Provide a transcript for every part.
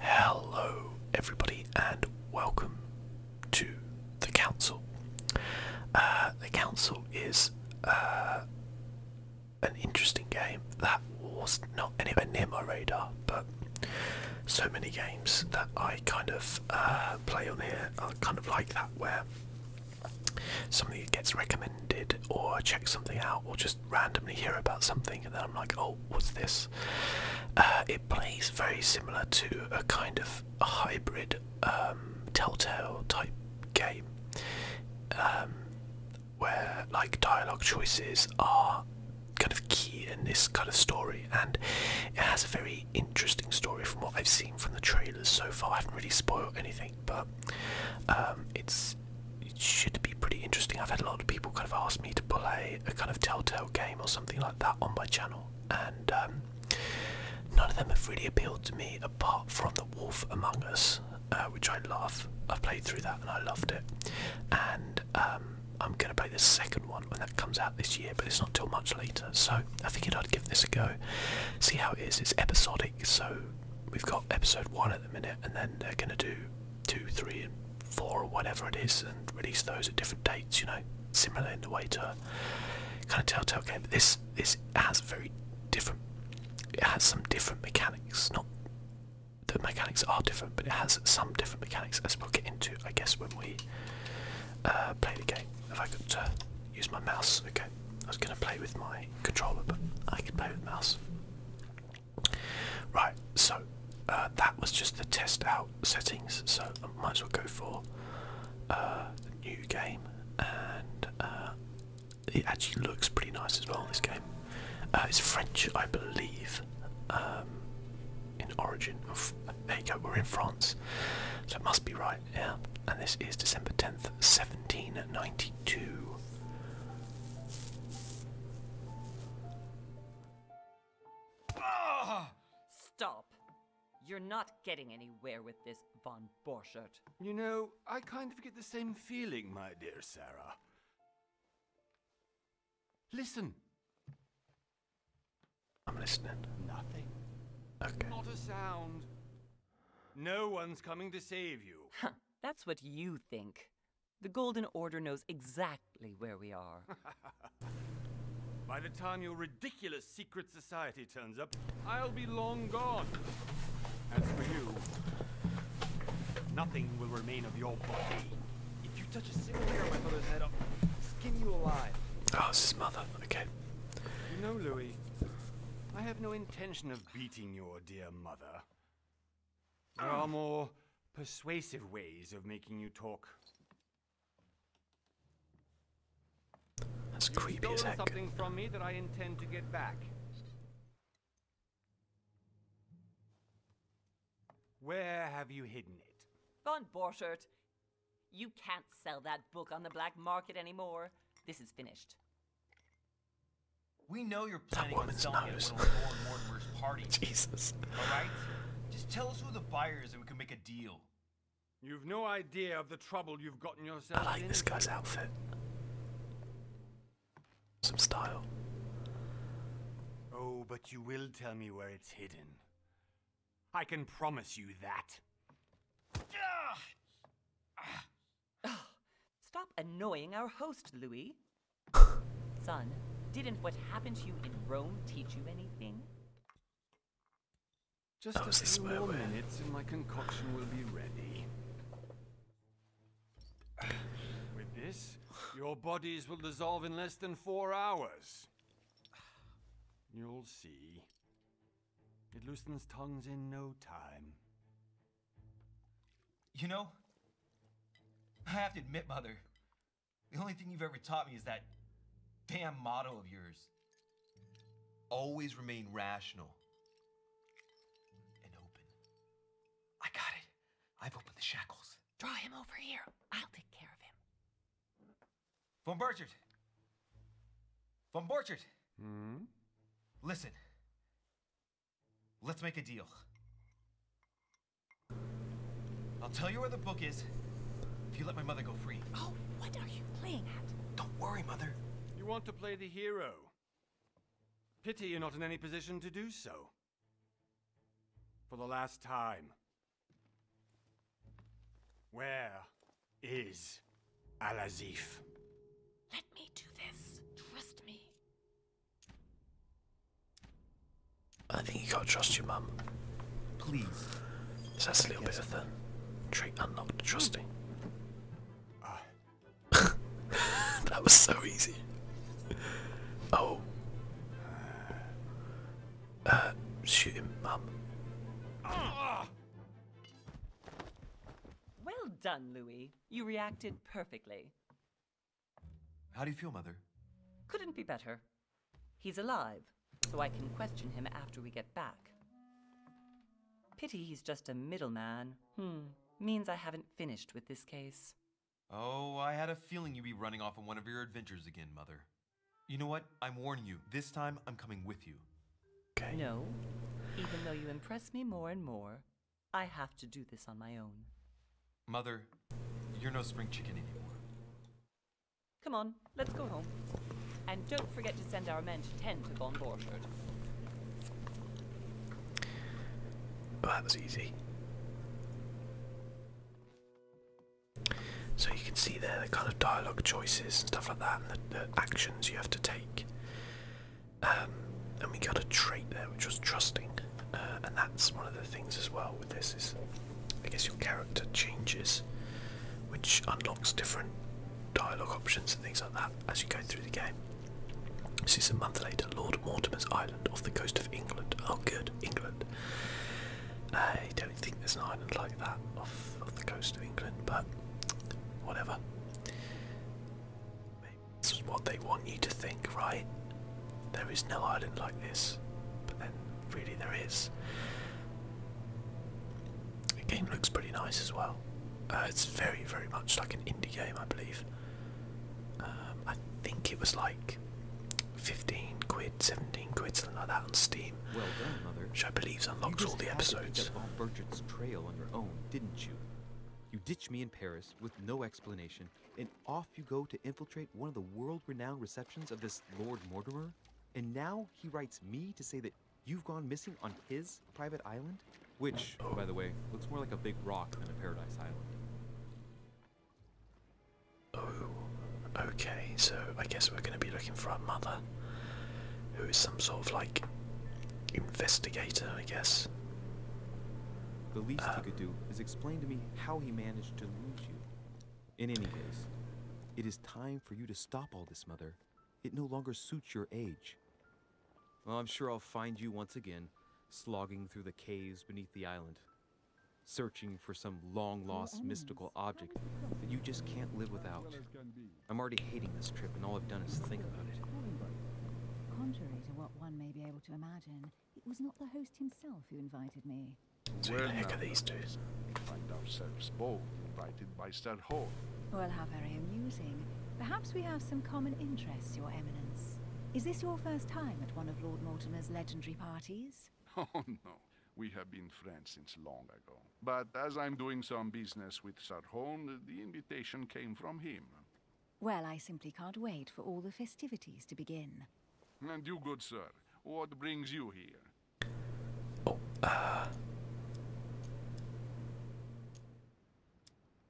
Hello, everybody, and welcome to the council. Uh, the council is uh, an interesting game that was not anywhere near my radar, but so many games that I kind of uh, play on here are kind of like that, where something gets recommended, or I check something out, or just randomly hear about something and then I'm like, oh, what's this? Uh, it plays very similar to a kind of hybrid um, Telltale type game um, where like dialogue choices are kind of key in this kind of story and it has a very interesting story from what I've seen from the trailers so far. I haven't really spoiled anything but um, it's it should be pretty interesting. I've had a lot of people kind of ask me to play a kind of Telltale game or something like that on my channel, and um, none of them have really appealed to me apart from The Wolf Among Us, uh, which I love. I played through that and I loved it, and um, I'm going to play the second one when that comes out this year, but it's not till much later. So I figured I'd give this a go, see how it is. It's episodic, so we've got episode one at the minute, and then they're gonna do two, three, and four, or whatever it is, and release those at different dates. You know, similar in the way to kind of Telltale game. this this has very different. It has some different mechanics. Not the mechanics are different, but it has some different mechanics. As we'll get into, I guess, when we uh, play the game. If I could uh, use my mouse, okay. I was gonna play with my controller, but I could play with mouse. Right, so uh, that was just the test out settings, so I might as well go for a uh, new game, and uh, it actually looks pretty nice as well. This game, uh, it's French, I believe, um, in origin. Of, there you go, we're in France, so it must be right. Yeah, and this is December tenth, seventeen ninety Ah! Stop. You're not getting anywhere with this von Borchert. You know, I kind of get the same feeling, my dear Sarah. Listen. I'm listening. Nothing. Okay. Not a sound. No one's coming to save you. Huh. That's what you think. The Golden Order knows exactly where we are. By the time your ridiculous secret society turns up, I'll be long gone. As for you, nothing will remain of your body. If you touch a single hair of my mother's head, I'll skin you alive. Oh, it's his mother. Okay. You know, Louis, I have no intention of beating your dear mother. There are more persuasive ways of making you talk. That's creepy as heck. something from me that I intend to get back. Where have you hidden it? Von Borchert, you can't sell that book on the black market anymore. This is finished. We know you're planning on selling nose. it at one of Mortimer's party. Jesus. All right? Just tell us who the buyer is and we can make a deal. You've no idea of the trouble you've gotten yourself I like this guy's outfit. Some style. Oh, but you will tell me where it's hidden. I can promise you that. Stop annoying our host, Louis. Son, didn't what happened to you in Rome teach you anything? Just a few more minutes and my concoction will be ready. With this, your bodies will dissolve in less than four hours. You'll see. It loosens tongues in no time. You know, I have to admit, Mother, the only thing you've ever taught me is that damn motto of yours. Always remain rational and open. I got it. I've opened the shackles. Draw him over here. I'll take care of him. Von Burchard. Von Borchard. Hmm? Listen. Let's make a deal. I'll tell you where the book is if you let my mother go free. Oh, what are you playing at? Don't worry, mother. You want to play the hero. Pity you're not in any position to do so. For the last time. Where Alazif? Let me do this. Trust me. I think you can't trust your mum. Please. that's a little bit of the trait not trusting. Ah. that was so easy. Oh. Uh, shoot him, mum. Well done, Louis. You reacted perfectly. How do you feel, Mother? Couldn't be better. He's alive, so I can question him after we get back. Pity he's just a middleman. Hmm, means I haven't finished with this case. Oh, I had a feeling you'd be running off on one of your adventures again, Mother. You know what? I'm warning you. This time, I'm coming with you. No. Even though you impress me more and more, I have to do this on my own. Mother, you're no spring chicken anymore. Come on, let's go home. And don't forget to send our men to tend to Von Borchard. that was easy. So you can see there the kind of dialogue choices and stuff like that, and the actions you have to take. Um, and we got a trait there which was trusting, uh, and that's one of the things as well with this is, I guess your character changes, which unlocks different dialogue options and things like that as you go through the game. This is a month later, Lord Mortimer's Island off the coast of England. Oh, good, England. I don't think there's an island like that off, off the coast of England, but whatever. This is what they want you to think, right? There is no island like this, but then really there is. The game looks pretty nice as well. Uh, it's very, very much like an indie game, I believe. Um, I think it was like 15 quid, 17 quid, something like that on Steam. Well done, Mother. Which I believe unlocks all the episodes. You ditched me in Paris with no explanation, and off you go to infiltrate one of the world renowned receptions of this Lord Mortimer? And now he writes me to say that you've gone missing on his private island? Which, by the way, looks more like a big rock than a paradise island. Oh, okay, so I guess we're going to be looking for our mother, who is some sort of like investigator, I guess. The least he could do is explain to me how he managed to lose you. In any case, it is time for you to stop all this, Mother. It no longer suits your age. I'm sure I'll find you once again, slogging through the caves beneath the island, searching for some long-lost mystical object that you just can't live without. I'm already hating this trip, and all I've done is think about it. Contrary to what one may be able to imagine, it was not the host himself who invited me. Who heck are these two? Find ourselves both invited by Sir Well, how very amusing. Perhaps we have some common interests, Your Eminence. Is this your first time at one of Lord Mortimer's legendary parties? Oh, no. We have been friends since long ago. But as I'm doing some business with Sarhon, the invitation came from him. Well, I simply can't wait for all the festivities to begin. And you, good sir, what brings you here? Oh, uh.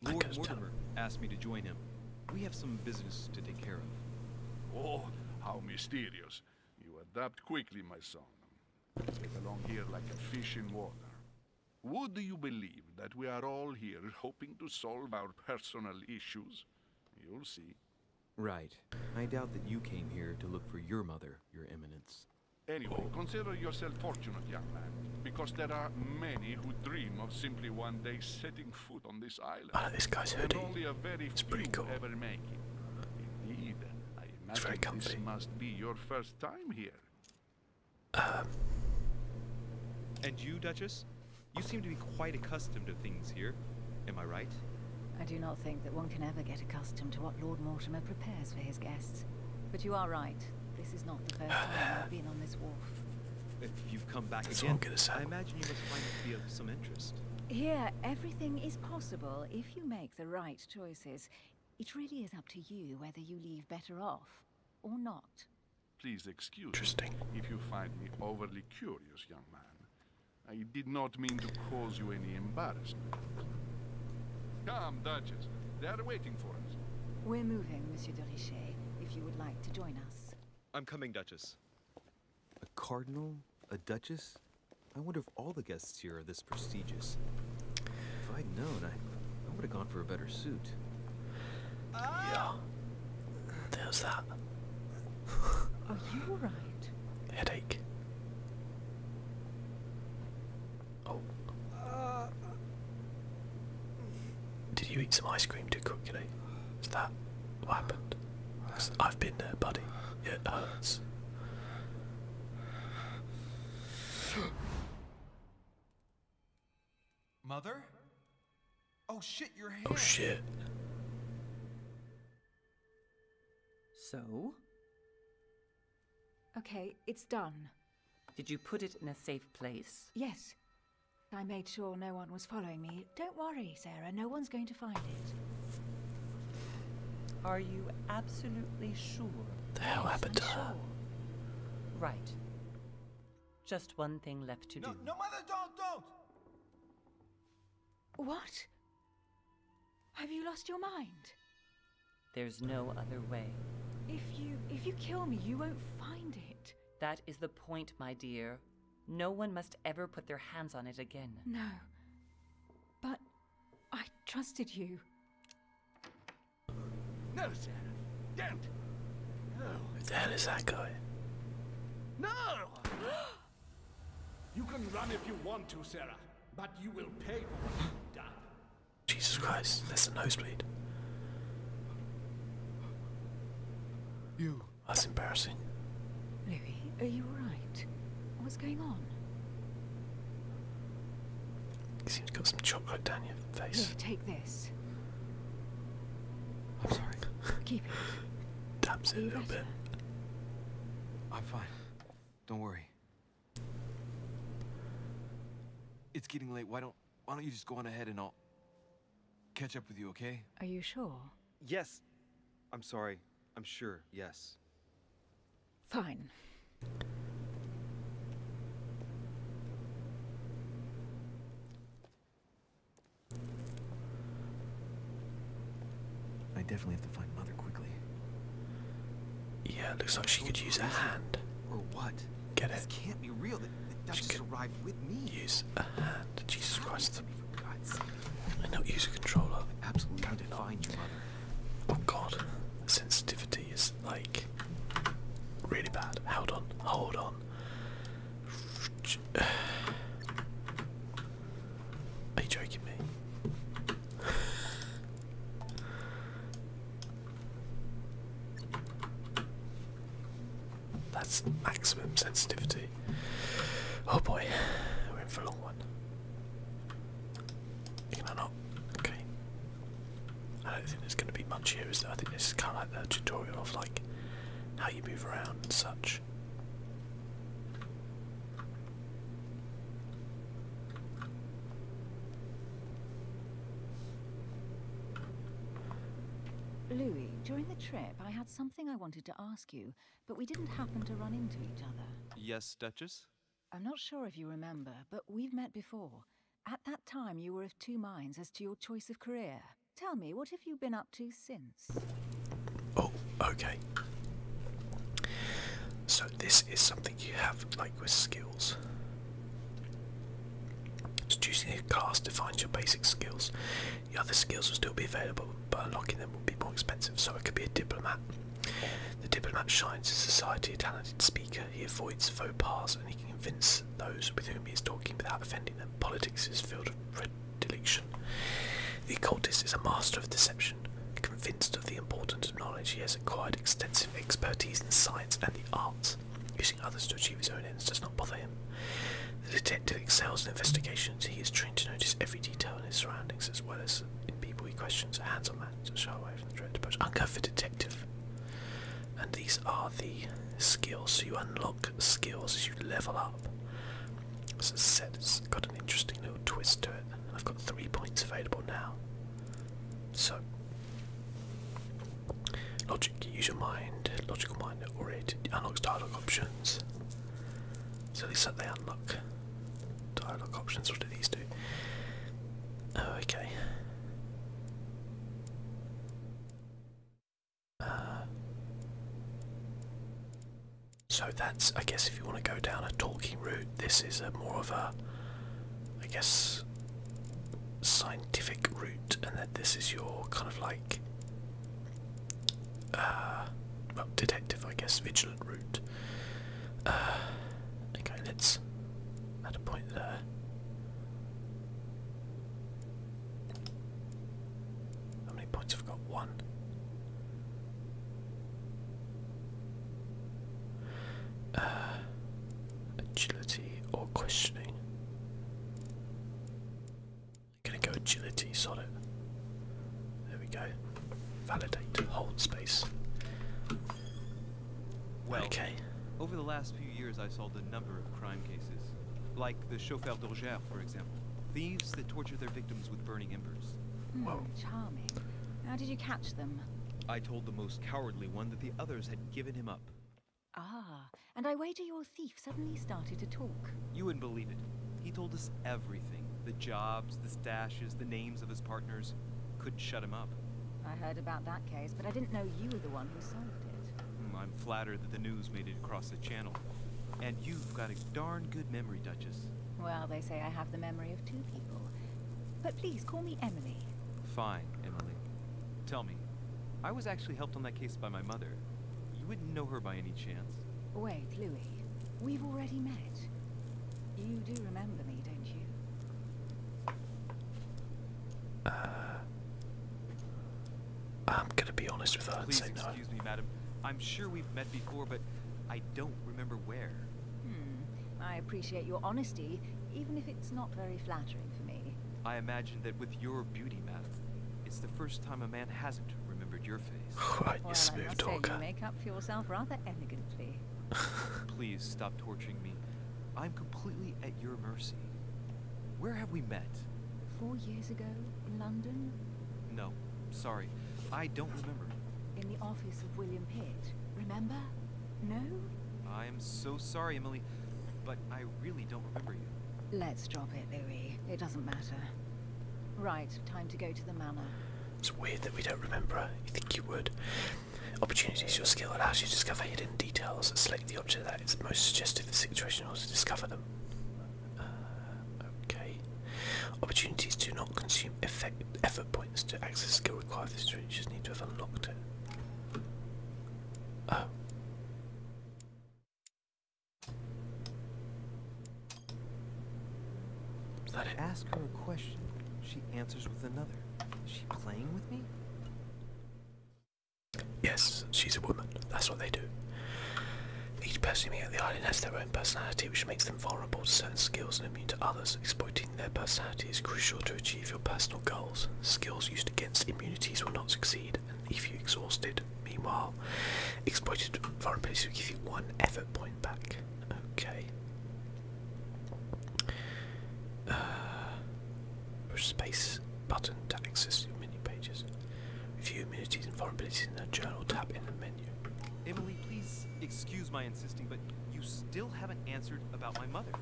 Lord Mortimer asked me to join him. We have some business to take care of. Oh, how mysterious. You adapt quickly, my son. Get along here like a fish in water. Would you believe that we are all here hoping to solve our personal issues? You'll see. Right. I doubt that you came here to look for your mother, Your Eminence. Anyway, consider yourself fortunate, young man, because there are many who dream of simply one day setting foot on this island. Ah, this guy's hoodie. only a very it's pretty cool. Ever make it. Indeed, it's very comfy. this must be your first time here. Um. And you, Duchess? You seem to be quite accustomed to things here. Am I right? I do not think that one can ever get accustomed to what Lord Mortimer prepares for his guests. But you are right. This is not the first time I've been on this wharf. If you've come back That's again, I imagine you must find it to be of some interest. Here, everything is possible if you make the right choices. It really is up to you whether you leave better off or not. Please excuse me if you find me overly curious, young man. I did not mean to cause you any embarrassment. Come, Duchess. They are waiting for us. We're moving, Monsieur de Richet, if you would like to join us. I'm coming, Duchess. A cardinal? A duchess? I wonder if all the guests here are this prestigious. If I'd known, I would have gone for a better suit. Yeah. There's that. Are you alright? Headache. Oh. Did you eat some ice cream too quickly? Is that what happened? I've been there, buddy. It hurts. Mother? Oh shit, your oh, hand. Oh shit. So? Okay, it's done. Did you put it in a safe place? Yes. I made sure no one was following me. Don't worry, Sarah. No one's going to find it. Are you absolutely sure? The hell happened to her? Right. Just one thing left to do. No, Mother, don't, don't! What? Have you lost your mind? There's no other way. If you if you kill me, you won't find it. That is the point, my dear. No one must ever put their hands on it again. No. But I trusted you. No, Sarah, don't. No. That is that guy. No! you can run if you want to, Sarah, but you will pay for it, you Jesus Christ, that's a nosebleed. You. That's embarrassing. Louis, are you alright? What's going on? He seems to have got some chocolate down your face. take this. I'm sorry. Keep it. I'm sitting a bit. I'm fine. Don't worry. It's getting late. Why don't why don't you just go on ahead and I'll catch up with you, okay? Are you sure? Yes. I'm sorry. I'm sure. Yes. Fine. I definitely have to find Mother quickly. Yeah, looks like she could use a hand. Or what? Get it? This can't be real. That the Duchess she could arrived with me. Use a hand. Jesus Christ. And not use a controller. Absolutely. How did mother? Oh God. sensitivity is like really bad. Hold on, hold on. Are you joking me? That's maximum sensitivity. Oh boy, we're in for a long one. Can I not? Okay. I don't think there's going to be much here, is there? I think this is kind of like the tutorial of like how you move around and such. Louis, during the trip, I had something I wanted to ask you, but we didn't happen to run into each other. Yes, Duchess? I'm not sure if you remember, but we've met before. At that time, you were of two minds as to your choice of career. Tell me, what have you been up to since? Oh, okay. So, this is something you have, like with skills. choosing a class defines your basic skills. The other skills will still be available, but unlocking them will be more expensive. So, it could be a diplomat. The diplomat shines in society, a talented speaker, he avoids faux pas and he can convince those with whom he is talking without offending them. Politics is filled of predilection. The occultist is a master of deception. Convinced of the importance of knowledge, he has acquired extensive expertise in science and the arts. Using others to achieve his own ends does not bother him. The detective excels in investigations. He is trained to notice every detail in his surroundings as well as in people he questions. hands-on man, so shy away from the direct approach. Uncover detective and these are the skills. you unlock skills as you level up. So set it's got an interesting little twist to it. I've got three points available now. So logic, use your mind, logical mind or it unlocks dialogue options. So these least that they unlock dialogue options. What do these do? Oh, okay. Uh, so that's, I guess, if you want to go down a talking route, this is a more of a, I guess, scientific route, and that this is your kind of like, uh, well, detective, I guess, vigilant route. Uh, okay, let's add a point there. How many points have I got? One. Uh, agility or questioning. I'm gonna go agility, solid. There we go. Validate, hold space. Well, Over the last few years, I solved a number of crime cases, like the chauffeur d'Orger, for example. Thieves that tortured their victims with burning embers. Mm, Charming. How did you catch them? I told the most cowardly one that the others had given him up. Ah, and I wager your thief suddenly started to talk. You wouldn't believe it. He told us everything the jobs, the stashes, the names of his partners. Couldn't shut him up. I heard about that case, but I didn't know you were the one Hmm, I'm flattered that the news made it across the channel. And you've got a darn good memory, Duchess. Well, they say I have the memory of two people. But please, call me Emily. Fine, Emily. Tell me, I was actually helped on that case by my mother. You wouldn't know her by any chance. Wait, Louis. We've already met. You do remember me, don't you? Uh, I'm gonna be honest with her and say no. Excuse me, madam. I'm sure we've met before, but I don't remember where. Hmm. I appreciate your honesty, even if it's not very flattering for me. I imagine that with your beauty, madam, it's the first time a man hasn't remembered your face. right, you smooth I must talker. Say you make up for yourself rather elegantly. Please stop torturing me. I'm completely at your mercy. Where have we met? Four years ago, in London? No, sorry. I don't remember. In the office of William Pitt, remember? No? I'm so sorry, Emily, but I really don't remember you. Let's drop it, Louis. It doesn't matter. Right, time to go to the manor. It's weird that we don't remember. You think you would? Opportunities. Your skill allows you to discover hidden details. Select the object that is most suggestive of the situation in order to discover them. Uh, okay. Opportunities do not consume effort points to access skill required. This you just need to have unlocked it. Oh. that Ask her a question. She answers with another. Is she playing with me? Yes, she's a woman. That's what they do. Each person here at the island has their own personality, which makes them vulnerable to certain skills and immune to others. Exploiting their personality is crucial to achieve your personal goals. Skills used against immunities will not succeed, and leave you exhausted. meanwhile, exploited vulnerability will give you one effort point back. Okay. Uh, Push space button to access your menu pages. Review immunities and vulnerabilities in the journal tab in the menu. Emily, please excuse my insisting, but you still haven't answered about my mother.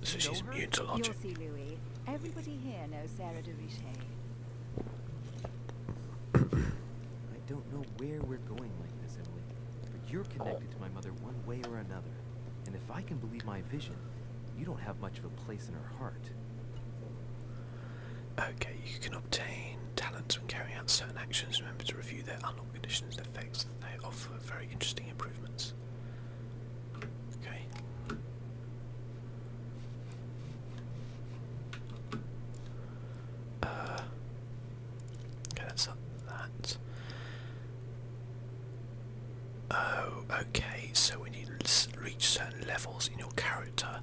This is she's immune to logic. You'll see, Louis. Everybody here knows Sarah de Richet. I don't know where we're going like this, Emily, but you're connected to my mother one way or another. And if I can believe my vision, you don't have much of a place in her heart. Okay, you can obtain talents when carrying out certain actions. Remember to review their unlocked conditions and effects they offer very interesting improvements. Okay. Uh, okay, that's that. Oh, okay, so when you reach certain levels in your character,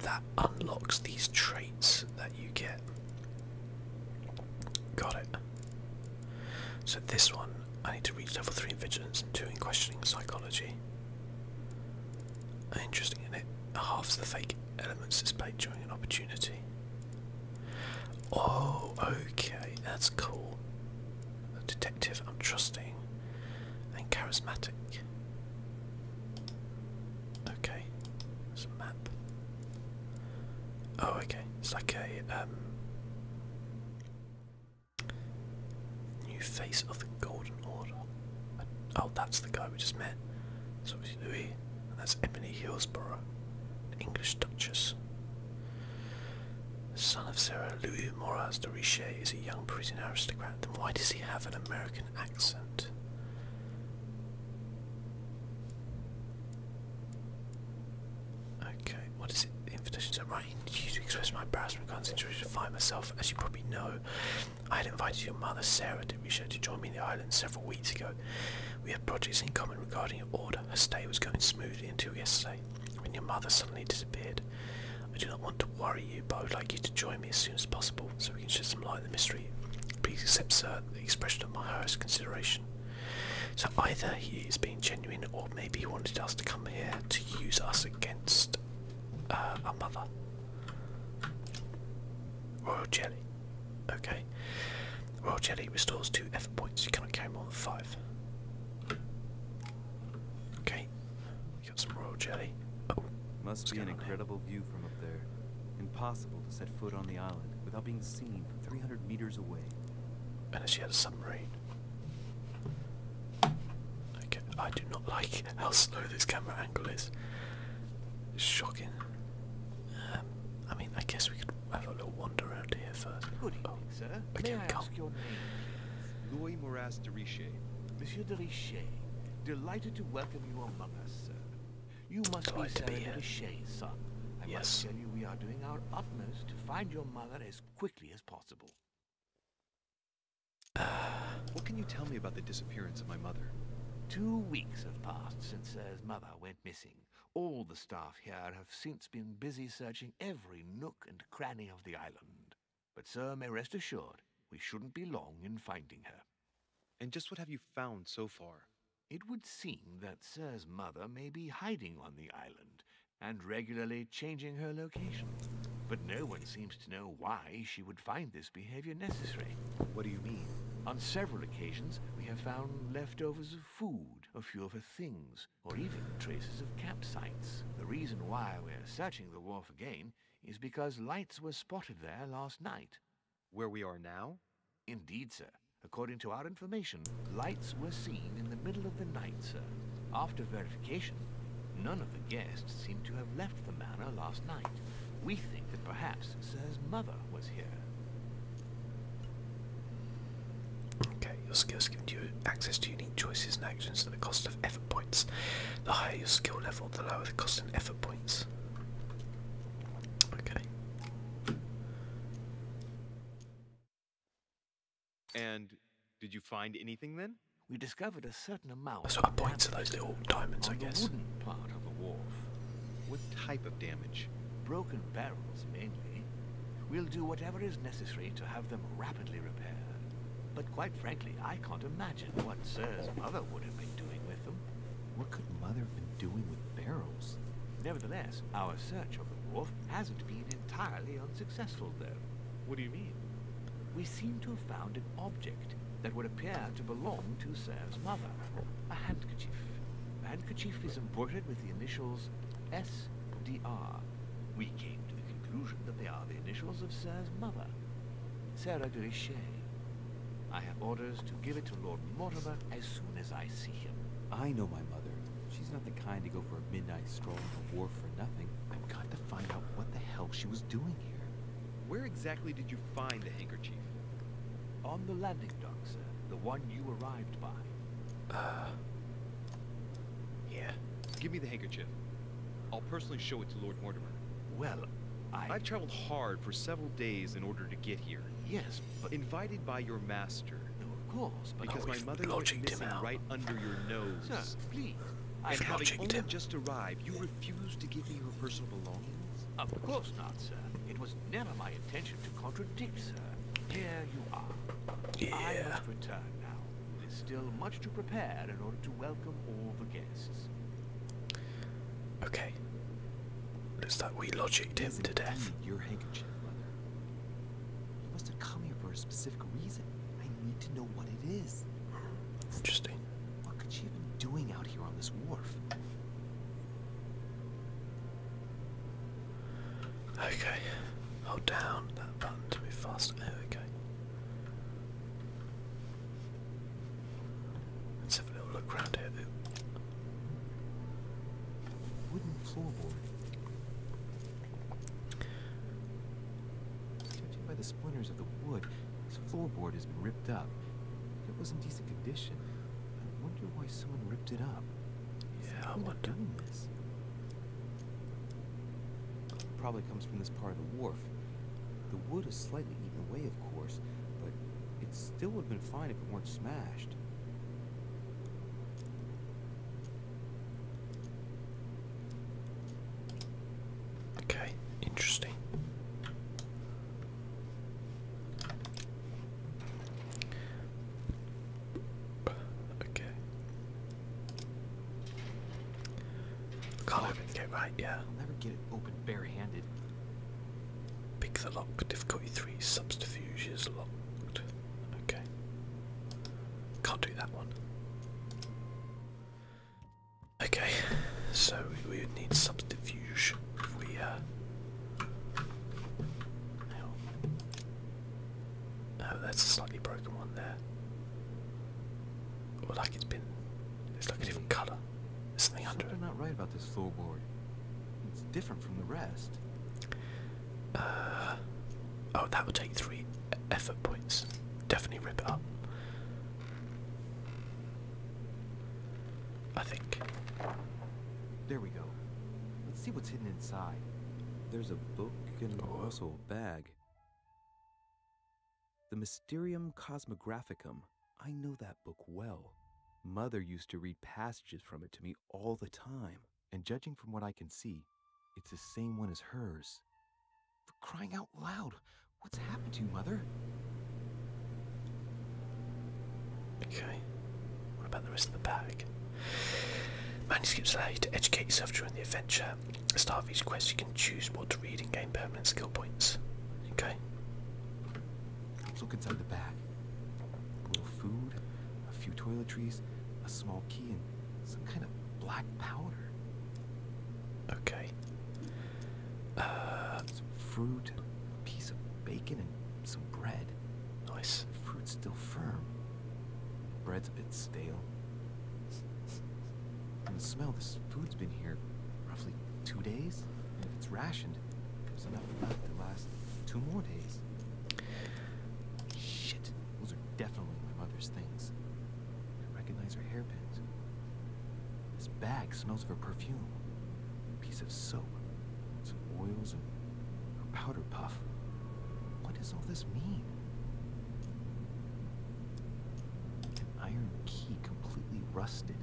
that unlocks these traits that you get. Got it. So this one, I need to reach level 3 in Vigilance and 2 in Questioning Psychology. Interesting, isn't it? Halves the fake elements displayed during an opportunity. Oh, okay, that's cool. A detective I'm trusting and charismatic. Okay, there's map. Oh, okay, it's like a um, new face of the Golden Order. Oh, that's the guy we just met. It's obviously Louis, and that's Emily Hillsborough, an English Duchess. The Son of Sarah Louis Moraz de Richet is a young Parisian aristocrat. Then why does he have an American accent? Okay, what is it? The invitation to writing you to express my embarrassment concentration to find myself. As you probably know, I had invited your mother, Sarah de Richet, to join me in the island several weeks ago. We had projects in common regarding your order. Her stay was going smoothly until yesterday when your mother suddenly disappeared. I do not want to worry you, but I would like you to join me as soon as possible so we can shed some light on the mystery. Please accept, sir, the expression of my highest consideration. So either he is being genuine, or maybe he wanted us to come here to use us against uh, our mother. Royal jelly. Okay. Royal jelly restores two F points. You cannot carry more than five. Okay, we got some royal jelly. Oh, must be an incredible view from up there. Impossible to set foot on the island without being seen from 300 meters away. Unless you had a submarine. I do not like how slow this camera angle is. It's shocking. Um, I mean, I guess we could have a little wander around here first. Good evening, oh. sir. Okay, May I ask your name? Louis Moras de Richet. Monsieur de Richet, delighted to welcome you among us, sir. You must delighted be Sarah de Richet's son. I must tell you we are doing our utmost to find your mother as quickly as possible. Uh. what can you tell me about the disappearance of my mother? Two weeks have passed since Sir's uh, mother went missing. All the staff here have since been busy searching every nook and cranny of the island. But sir may rest assured, we shouldn't be long in finding her. And just what have you found so far? It would seem that sir's mother may be hiding on the island and regularly changing her location. But no one seems to know why she would find this behavior necessary. What do you mean? On several occasions, we have found leftovers of food, a few of her things, or even traces of camp sites. The reason why we're searching the wharf again is because lights were spotted there last night. Where we are now? Indeed, sir. According to our information, lights were seen in the middle of the night, sir. After verification, none of the guests seem to have left the manor last night. We think that perhaps Sir's mother was here. Okay, your skills give you access to unique choices and actions at the cost of effort points. The higher your skill level, the lower the cost in effort points. Okay. And did you find anything then? We discovered a certain amount. That's what I point those little diamonds, I guess. The wooden part of the wharf. What type of damage? Broken barrels mainly. We'll do whatever is necessary necessary to have them rapidly repaired. But quite frankly, I can't imagine what Sir's mother would have been doing with them. What could Mother have been doing with barrels? Nevertheless, our search of the wharf hasn't been entirely unsuccessful, though. What do you mean? We seem to have found an object that would appear to belong to Sir's mother. A handkerchief. The handkerchief is embroidered with the initials SDR we came to the conclusion that they are the initials of Sir's mother, Sarah Grishay. I have orders to give it to Lord Mortimer as soon as I see him. I know my mother. She's not the kind to go for a midnight stroll on the wharf for nothing. I've got to find out what the hell she was doing here. Where exactly did you find the handkerchief? On the landing dock, sir. The one you arrived by. Ah. Yeah. Give me the handkerchief. I'll personally show it to Lord Mortimer. Well, I... I've traveled hard for several days in order to get here. Yes, but... Invited by your master. No, of course, Because my mother was missing right under your nose. Sir, please. i am and having only him. just arrived, you refuse to give me your personal belongings? Of course not, sir. It was never my intention to contradict, sir. Here you are. I must return now. There's still much to prepare in order to welcome all the guests. Okay. Looks like we logicked him to death. Your handkerchief, mother. You must have come here for a specific reason. I need to know what it is. Interesting. What could she have been doing out here on this wharf? Okay, hold down that button to be faster. There we go. Let's have a little look around here. Ooh. Wooden floorboard. Judging by the splinters of the wood, this floorboard has been ripped up. It was in decent condition. I wonder why someone ripped it up. Yeah, I wonder. Doing this? Probably comes from this part of the wharf. The wood is slightly eaten away, of course, but it still would have been fine if it weren't smashed. Okay, interesting okay. I can't open the right? Yeah. I'll never get it open bare-handed. Pick the lock. Difficulty three. Subterfuge is locked. Okay. Can't do that one. Okay, so we would need subterfuge if we uh. Oh, that's a slightly broken one there. Or like it's been, it's like a different colour. There's something under Something it. not right about this floorboard. It's different from the rest. Uh, oh, that would take three effort points. Definitely rip it up. I think. There we go. Let's see what's hidden inside. There's a book and oh. also a bag. The Mysterium Cosmographicum. I know that book well. Mother used to read passages from it to me all the time, and judging from what I can see, it's the same one as hers. For crying out loud, what's happened to you, Mother? Okay. What about the rest of the bag? Manuscripts allow you to educate yourself during the adventure. At start of each quest, you can choose what to read and gain permanent skill points. Okay. Let's look inside the bag. little food, a few toiletries, a small key, and some kind of black powder. Okay. Uh, some fruit, a piece of bacon, and some bread. Nice. The fruit's still firm. Bread's a bit stale. And the smell, this food's been here roughly two days. And if it's rationed, there's enough left to last two more days. Shit, those are definitely my mother's things. I recognize her hairpins. This bag smells of her perfume. A piece of soap, some oils, and powder puff. What does all this mean? An iron key completely rusted.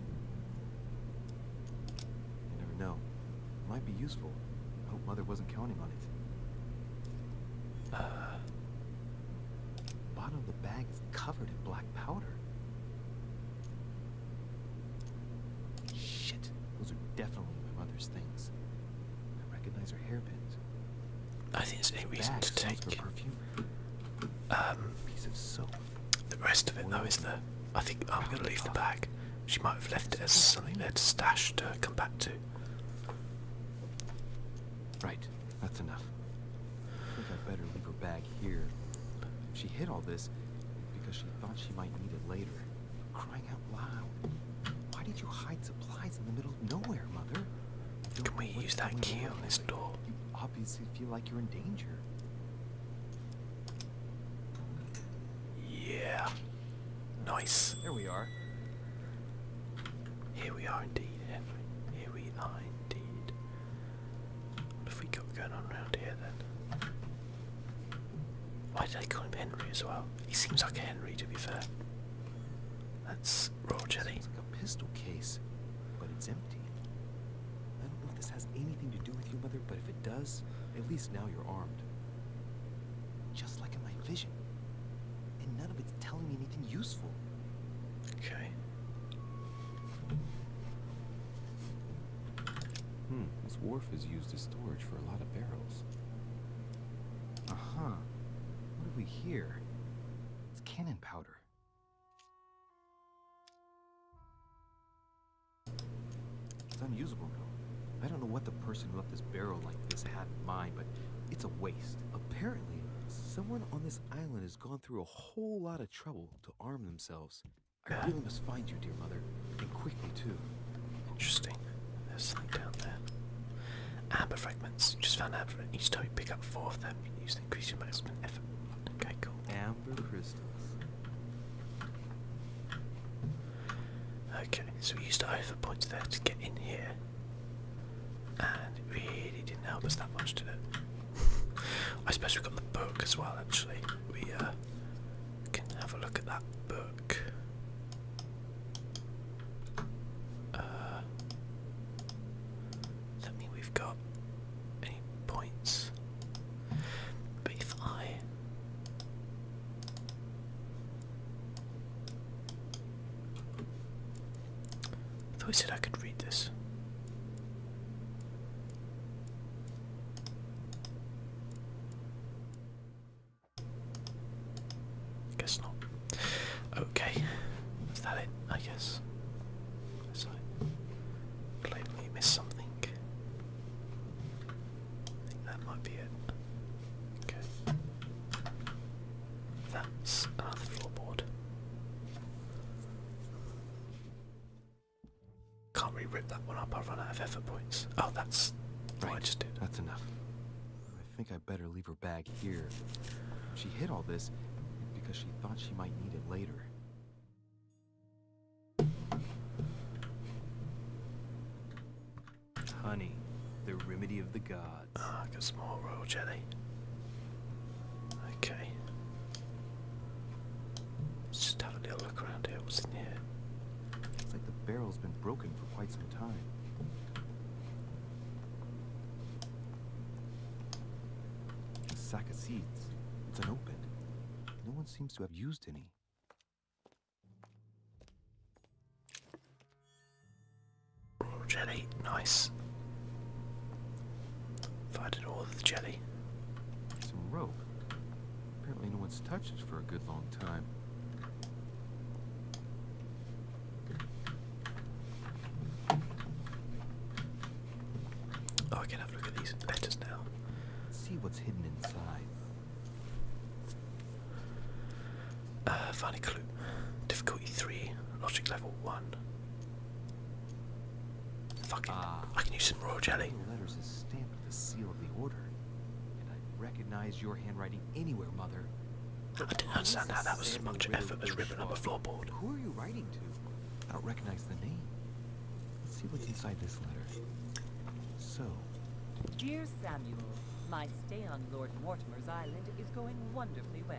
You never know. might be useful. I hope Mother wasn't counting on it. the bottom of the bag is covered in black powder. Shit, those are definitely my mother's things. I recognize her hairpins. I think there's any reason to take um, piece the rest of it though is the I think I'm gonna leave the bag. She might have left it as something there to stash to come back to. Right, that's enough. I think I better leave her bag here. She hid all this because she thought she might need it later. Crying out loud. Why did you hide supplies in the middle of nowhere, Mother? Can we use that key on this door? You obviously feel like you're in danger. Yeah. Nice. There we are. Here we are indeed, Henry. Here we are indeed. What have we got going on around here then? Why did I call him Henry as well? He seems like a Henry to be fair. That's raw jelly. Sounds like a pistol case, but it's empty. I don't know if this has anything to do with you, mother, but if it does, at least now you're armed. Just like in my vision. And none of it's telling me anything useful. Okay. Hmm, this wharf is used as storage for a lot of barrels. Uh-huh. What have we here? It's cannon powder. It's unusable now. I don't know what the person who left this barrel like this had in mind, but it's a waste. Apparently, someone on this island has gone through a whole lot of trouble to arm themselves. I really must find you, dear mother, and quickly, too. Interesting. There's something down there. Amber fragments. Just found amber. Each time you pick up four of them, you can use to increase your maximum effort. Okay, cool. Amber crystals. Okay, so we used over points there to get in here. And it really didn't help us that much, did it? I suppose we got the book as well, actually. We uh, can have a look at that book look. Uh, does that we've got any points? But if I thought I said I could read this. Guess not. Okay, is that it? I guess. So, missed something. that might be it. Okay. That's another floorboard. Can't really rip that one up. I'll run out of effort points. Oh, that's. Right, just did. That's enough. I think I better leave her bag here. She hid all this because she thought she might need it later. Honey, the remedy of the gods. Ah, a small royal jelly. Okay. Let's just have a little look around here. What's in here? It's like the barrel's been broken for quite some time. A sack of seeds. It's unopened. No one seems to have used any. jelly, nice. If I did all of the jelly. Some rope. Apparently no one's touched it for a good long time. Oh, I can have a look at these letters now. see what's hidden inside. Uh, find clue. Difficulty 3, logic level 1. Fuck Ah, I can use some royal jelly the seal of the order. And I'd recognize your handwriting anywhere, Mother. I didn't understand how that was as much effort as ripping up a floorboard. Who are you writing to? I don't recognize the name. Let's see what's inside this letter. So. Dear Samuel, my stay on Lord Mortimer's island is going wonderfully well.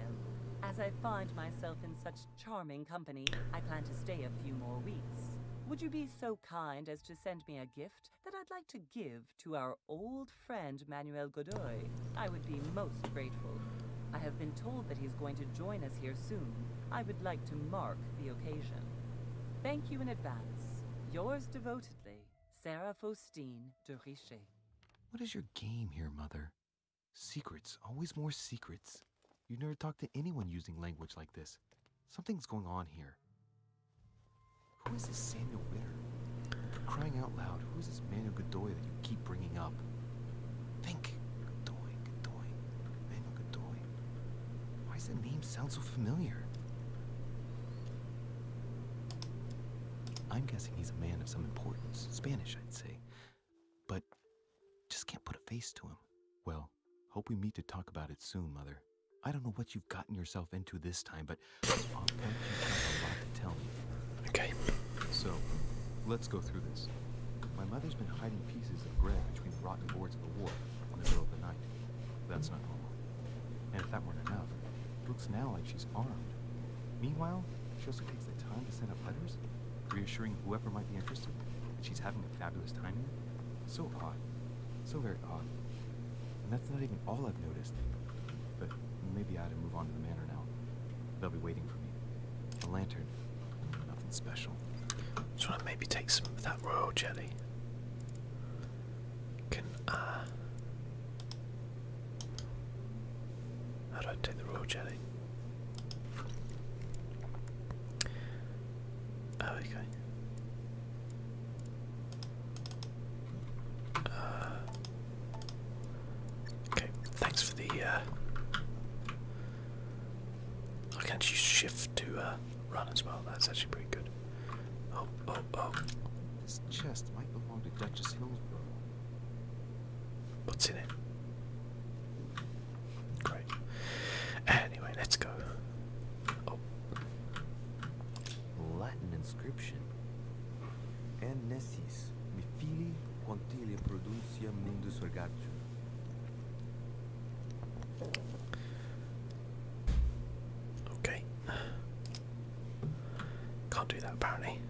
As I find myself in such charming company, I plan to stay a few more weeks. Would you be so kind as to send me a gift that I'd like to give to our old friend Manuel Godoy. I would be most grateful. I have been told that he's going to join us here soon. I would like to mark the occasion. Thank you in advance. Yours devotedly, Sarah Faustine de Riche. What is your game here, Mother? Secrets, always more secrets. You never talk to anyone using language like this. Something's going on here. Who is this Samuel Witter? crying out loud, who is this Manuel Godoy that you keep bringing up? Think. Godoy, Godoy, Manuel Godoy. Why does that name sound so familiar? I'm guessing he's a man of some importance. Spanish, I'd say. But just can't put a face to him. Well, hope we meet to talk about it soon, Mother. I don't know what you've gotten yourself into this time, but on uh, point you a lot to tell me. Okay. So, let's go through this. My mother's been hiding pieces of bread between the rotten boards of the wharf on the middle of the night. That's not normal. And if that weren't enough, it looks now like she's armed. Meanwhile, she also takes the time to send out letters, reassuring whoever might be interested that she's having a fabulous time here. So odd. So very and that's not even all I've noticed. But maybe I ought to move on to the manor now. They'll be waiting for me. A lantern. Nothing special. Just want to maybe take some of that royal jelly. Can I... Uh, how do I take the royal jelly? Oh, okay. Uh, okay, thanks for the. Uh, I can actually shift to uh, run as well. That's actually pretty good. Oh, oh, oh. This chest might belong to Duchess Hillsborough. What's in it? Great. Anyway, let's go. Oh. Latin inscription. En nescis, mi fili quantile produncia mundus regatur. Okay. Can't do that apparently.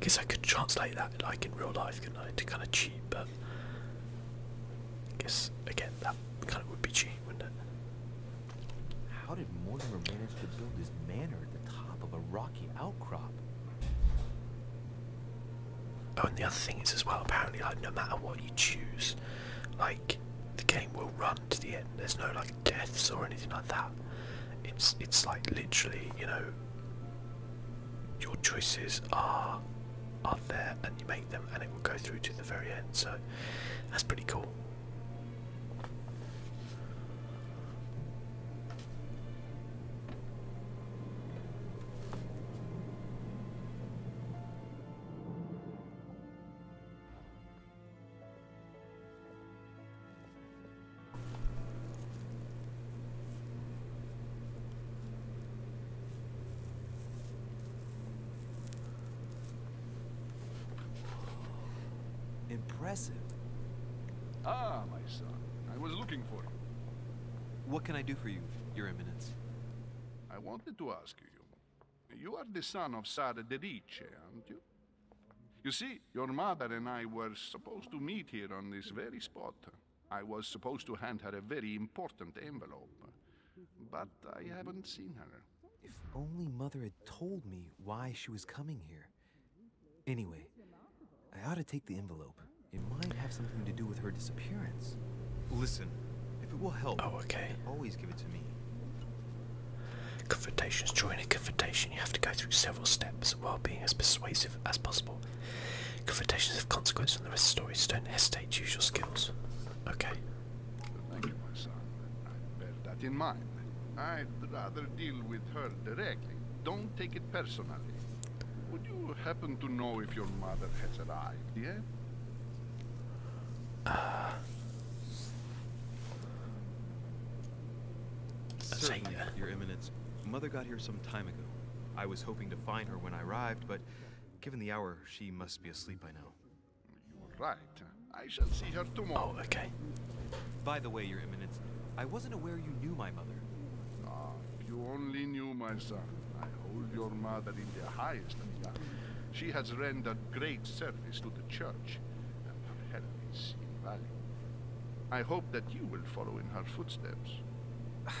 Guess I could translate that like in real life, could I? kind of cheat, but guess again that kind of would be cheating. How did Mortimer manage to build his manor at the top of a rocky outcrop? Oh, and the other thing is as well, apparently, like no matter what you choose, like the game will run to the end. There's no like deaths or anything like that. It's it's like literally, you know, your choices are are there, and you make them and it will go through to the very end so that's pretty cool Impressive. Ah, my son. I was looking for you. What can I do for you, Your Eminence? I wanted to ask you. You are the son of Sara Dedice, aren't you? You see, your mother and I were supposed to meet here on this very spot. I was supposed to hand her a very important envelope. But I haven't seen her. If only Mother had told me why she was coming here. Anyway, I ought to take the envelope. It might have something to do with her disappearance. Listen, if it will help, oh, okay. always give it to me. Confrontations. During a confrontation, you have to go through several steps while being as persuasive as possible. Confrontations of consequence and the rest of stories, so don't hesitate to use your skills. Okay. Thank you, my son. I bear that in mind. I'd rather deal with her directly. Don't take it personally. Would you happen to know if your mother has arrived yet? Certainly, Your Eminence. Mother got here some time ago. I was hoping to find her when I arrived, but given the hour, she must be asleep I know. You're right. I shall see her tomorrow. Oh, okay. By the way, Your Eminence, I wasn't aware you knew my mother. Ah, you only knew my son. I hold your mother in the highest regard. She has rendered great service to the church, and her help is invaluable. I hope that you will follow in her footsteps.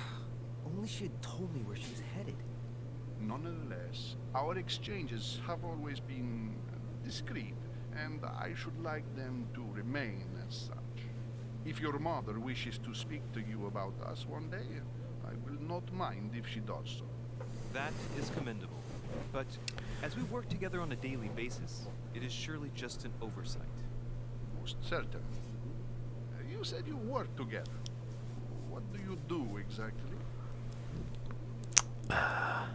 Only she had told me where she was headed. Nonetheless, our exchanges have always been discreet, and I should like them to remain as such. If your mother wishes to speak to you about us one day, I will not mind if she does so. That is commendable. But as we work together on a daily basis, it is surely just an oversight. Most certainly. You said you work together. What do you do exactly? Uh,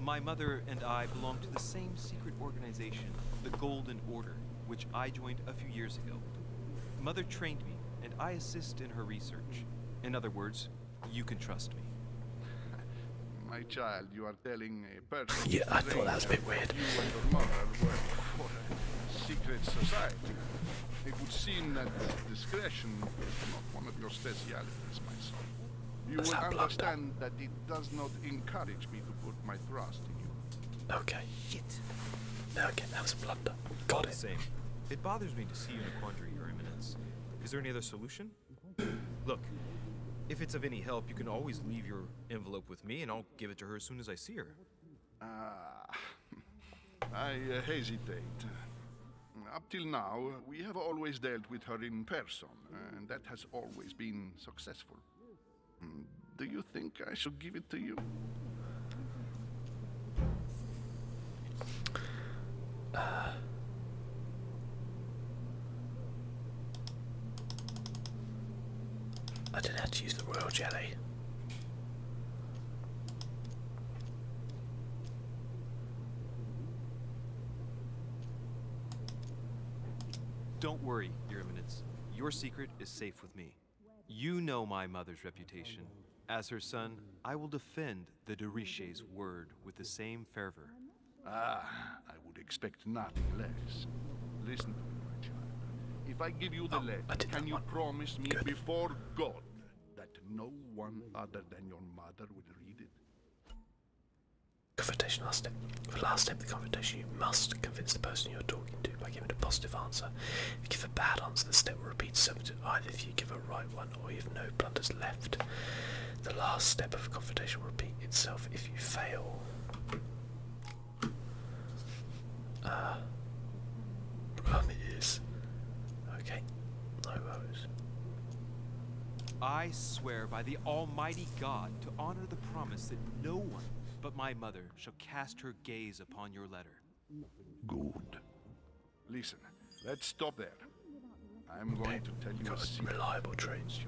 My mother and I belong to the same secret organization, the Golden Order, which I joined a few years ago. Mother trained me, and I assist in her research. In other words, you can trust me. My child, you are telling a person. yeah, I thought that was a bit weird secret society. It would seem that discretion is not one of your specialities, my son. You will understand that. it does not encourage me to put my trust in you. Okay. Shit. Okay, that was a blunder. Got it. Same. It bothers me to see you in a quandary, Your Eminence. Is there any other solution? Look, if it's of any help, you can always leave your envelope with me, and I'll give it to her as soon as I see her. Ah. I hesitate. Up till now, we have always dealt with her in person, and that has always been successful. Do you think I should give it to you? I don't know how to use the royal jelly. Don't worry, Your Eminence. Your secret is safe with me. You know my mother's reputation. As her son, I will defend the Dorishe's word with the same fervor. Ah, I would expect nothing less. Listen if I give you the oh, letter, can you promise me before God that no one other than your mother will read it? Confrontation last the last step of the confrontation, you must convince the person you're talking to by giving a positive answer. If you give a bad answer, the step will repeat itself. either if you give a right one or if no blunders left. The last step of a confrontation will repeat itself if you fail. Uh, around Okay, no worries. I swear by the Almighty God to honor the promise that no one but my mother shall cast her gaze upon your letter. Good. Listen, let's stop there. I'm going to tell you Got a reliable trains.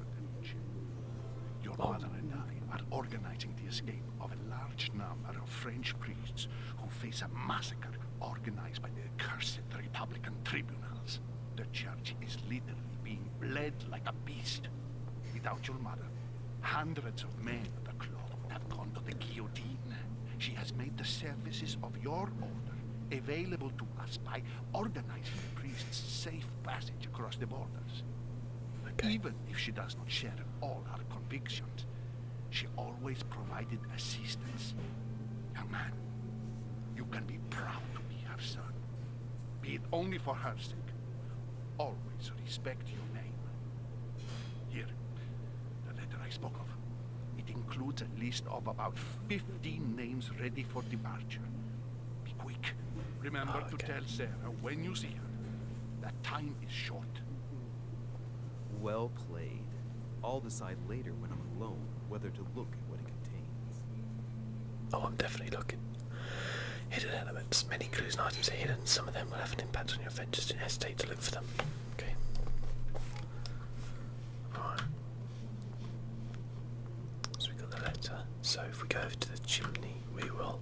Your mother oh. and I are organizing the escape of a large number of French priests who face a massacre organized by the accursed Republican tribunals. The church is literally being bled like a beast. Without your mother, hundreds of men of the cloth would have gone to the guillotine. She has made the services of your order available to us by organizing the priests' safe passage across the borders. Even if she does not share all her convictions, she always provided assistance. Young man, you can be proud to be her son. Be it only for her sake. Always respect your name. Here, the letter I spoke of. It includes a list of about 15 names ready for departure. Be quick. Remember ah, to tell Sarah when you see her that time is short. Well played. I'll decide later when I'm alone whether to look at what it contains. Oh, I'm definitely looking. Hidden elements. Many clues and items are hidden. Some of them will have an impact on your adventures. Don't hesitate to look for them. Okay. Alright. So we got the letter. So if we go over to the chimney we will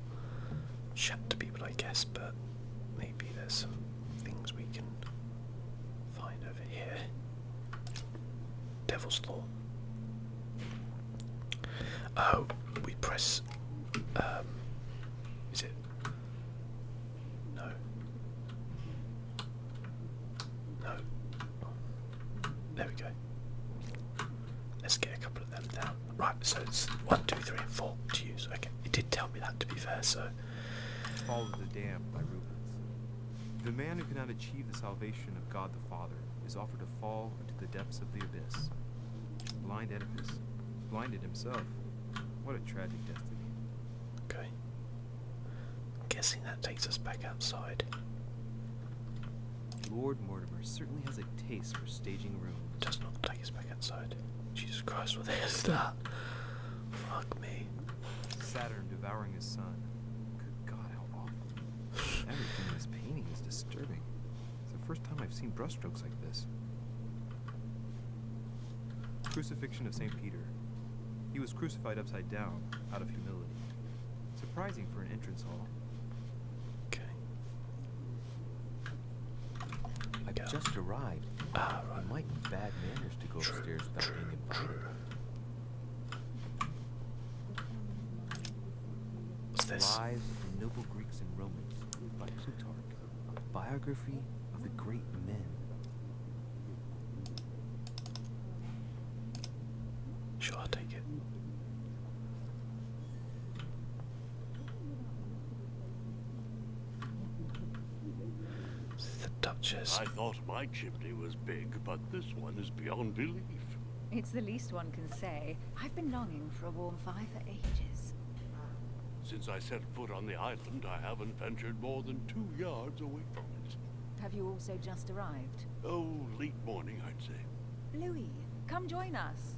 chat to people, I guess, but maybe there's some things we can find over here. Devil's law. Oh, we press. Um, is it? No. No. There we go. Let's get a couple Right, so it's one, two, three, and four to use. Okay, it did tell me that to be fair, so. All of the Damned by Rubens. The man who cannot achieve the salvation of God the Father is offered to fall into the depths of the abyss. Blind Oedipus, blinded himself. What a tragic destiny. Okay. I'm guessing that takes us back outside. Lord Mortimer certainly has a taste for staging rooms. Does not look like back outside. Jesus Christ, what is that? Fuck me. Saturn devouring his son. Good God, how awful. Everything in this painting is disturbing. It's the first time I've seen brushstrokes like this. Crucifixion of St. Peter. He was crucified upside down, out of humility. Surprising for an entrance hall. Okay. I have just arrived. Ah, It might be bad manners to go upstairs without being invited. What's this? Lives of the Noble Greeks and Romans by Plutarch. biography of the great men. Sure, I'll take it. The Duchess. I thought my chimney was big, but this one is beyond belief. It's the least one can say. I've been longing for a warm fire for ages. Since I set foot on the island, I haven't ventured more than two yards away from it. Have you also just arrived? Oh, late morning, I'd say. Louis, come join us.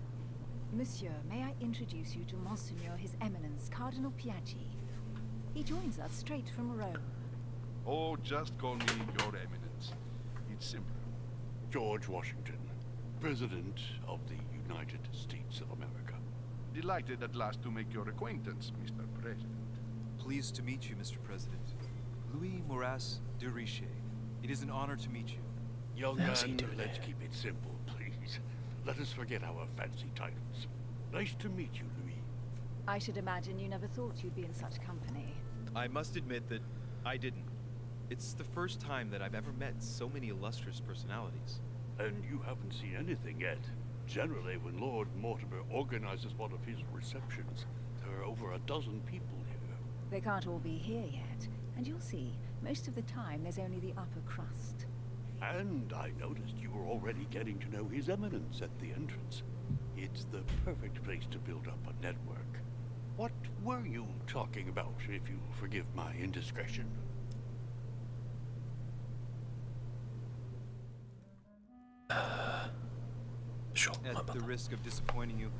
Monsieur, may I introduce you to Monseigneur His Eminence, Cardinal Piaggi. He joins us straight from Rome. Oh, just call me Your Eminence. It's simple. George Washington, President of the United States of America. Delighted at last to make your acquaintance, Mr. President. Pleased to meet you, Mr. President. Louis Moras de Richet. It is an honor to meet you. Young man, let's keep it simple, please. Let us forget our fancy titles. Nice to meet you, Louis. I should imagine you never thought you'd be in such company. I must admit that I didn't. It's the first time that I've ever met so many illustrious personalities. And you haven't seen anything yet. Generally, when Lord Mortimer organizes one of his receptions, there are over a dozen people here. They can't all be here yet. And you'll see, most of the time there's only the upper crust. And I noticed you were already getting to know His Eminence at the entrance. It's the perfect place to build up a network. What were you talking about, if you'll forgive my indiscretion? Uh, sure. At the risk of disappointing you,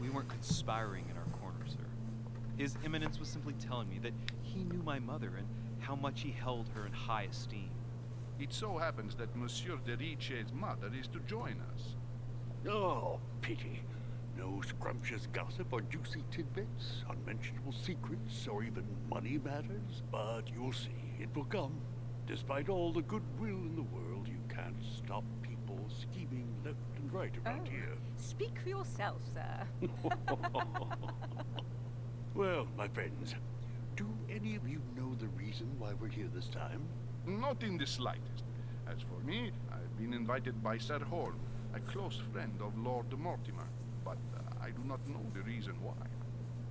we weren't conspiring in our corner, sir. His Eminence was simply telling me that he knew my mother and how much he held her in high esteem. It so happens that Monsieur de Riche's mother is to join us. Oh, pity. No scrumptious gossip or juicy tidbits, unmentionable secrets, or even money matters. But you'll see, it will come. Despite all the goodwill in the world, you can't stop people scheming and right around here. Speak for yourself, sir. well, my friends, do any of you know the reason why we're here this time? Not in the slightest. As for me, I've been invited by Sir Horn, a close friend of Lord Mortimer, but uh, I do not know the reason why.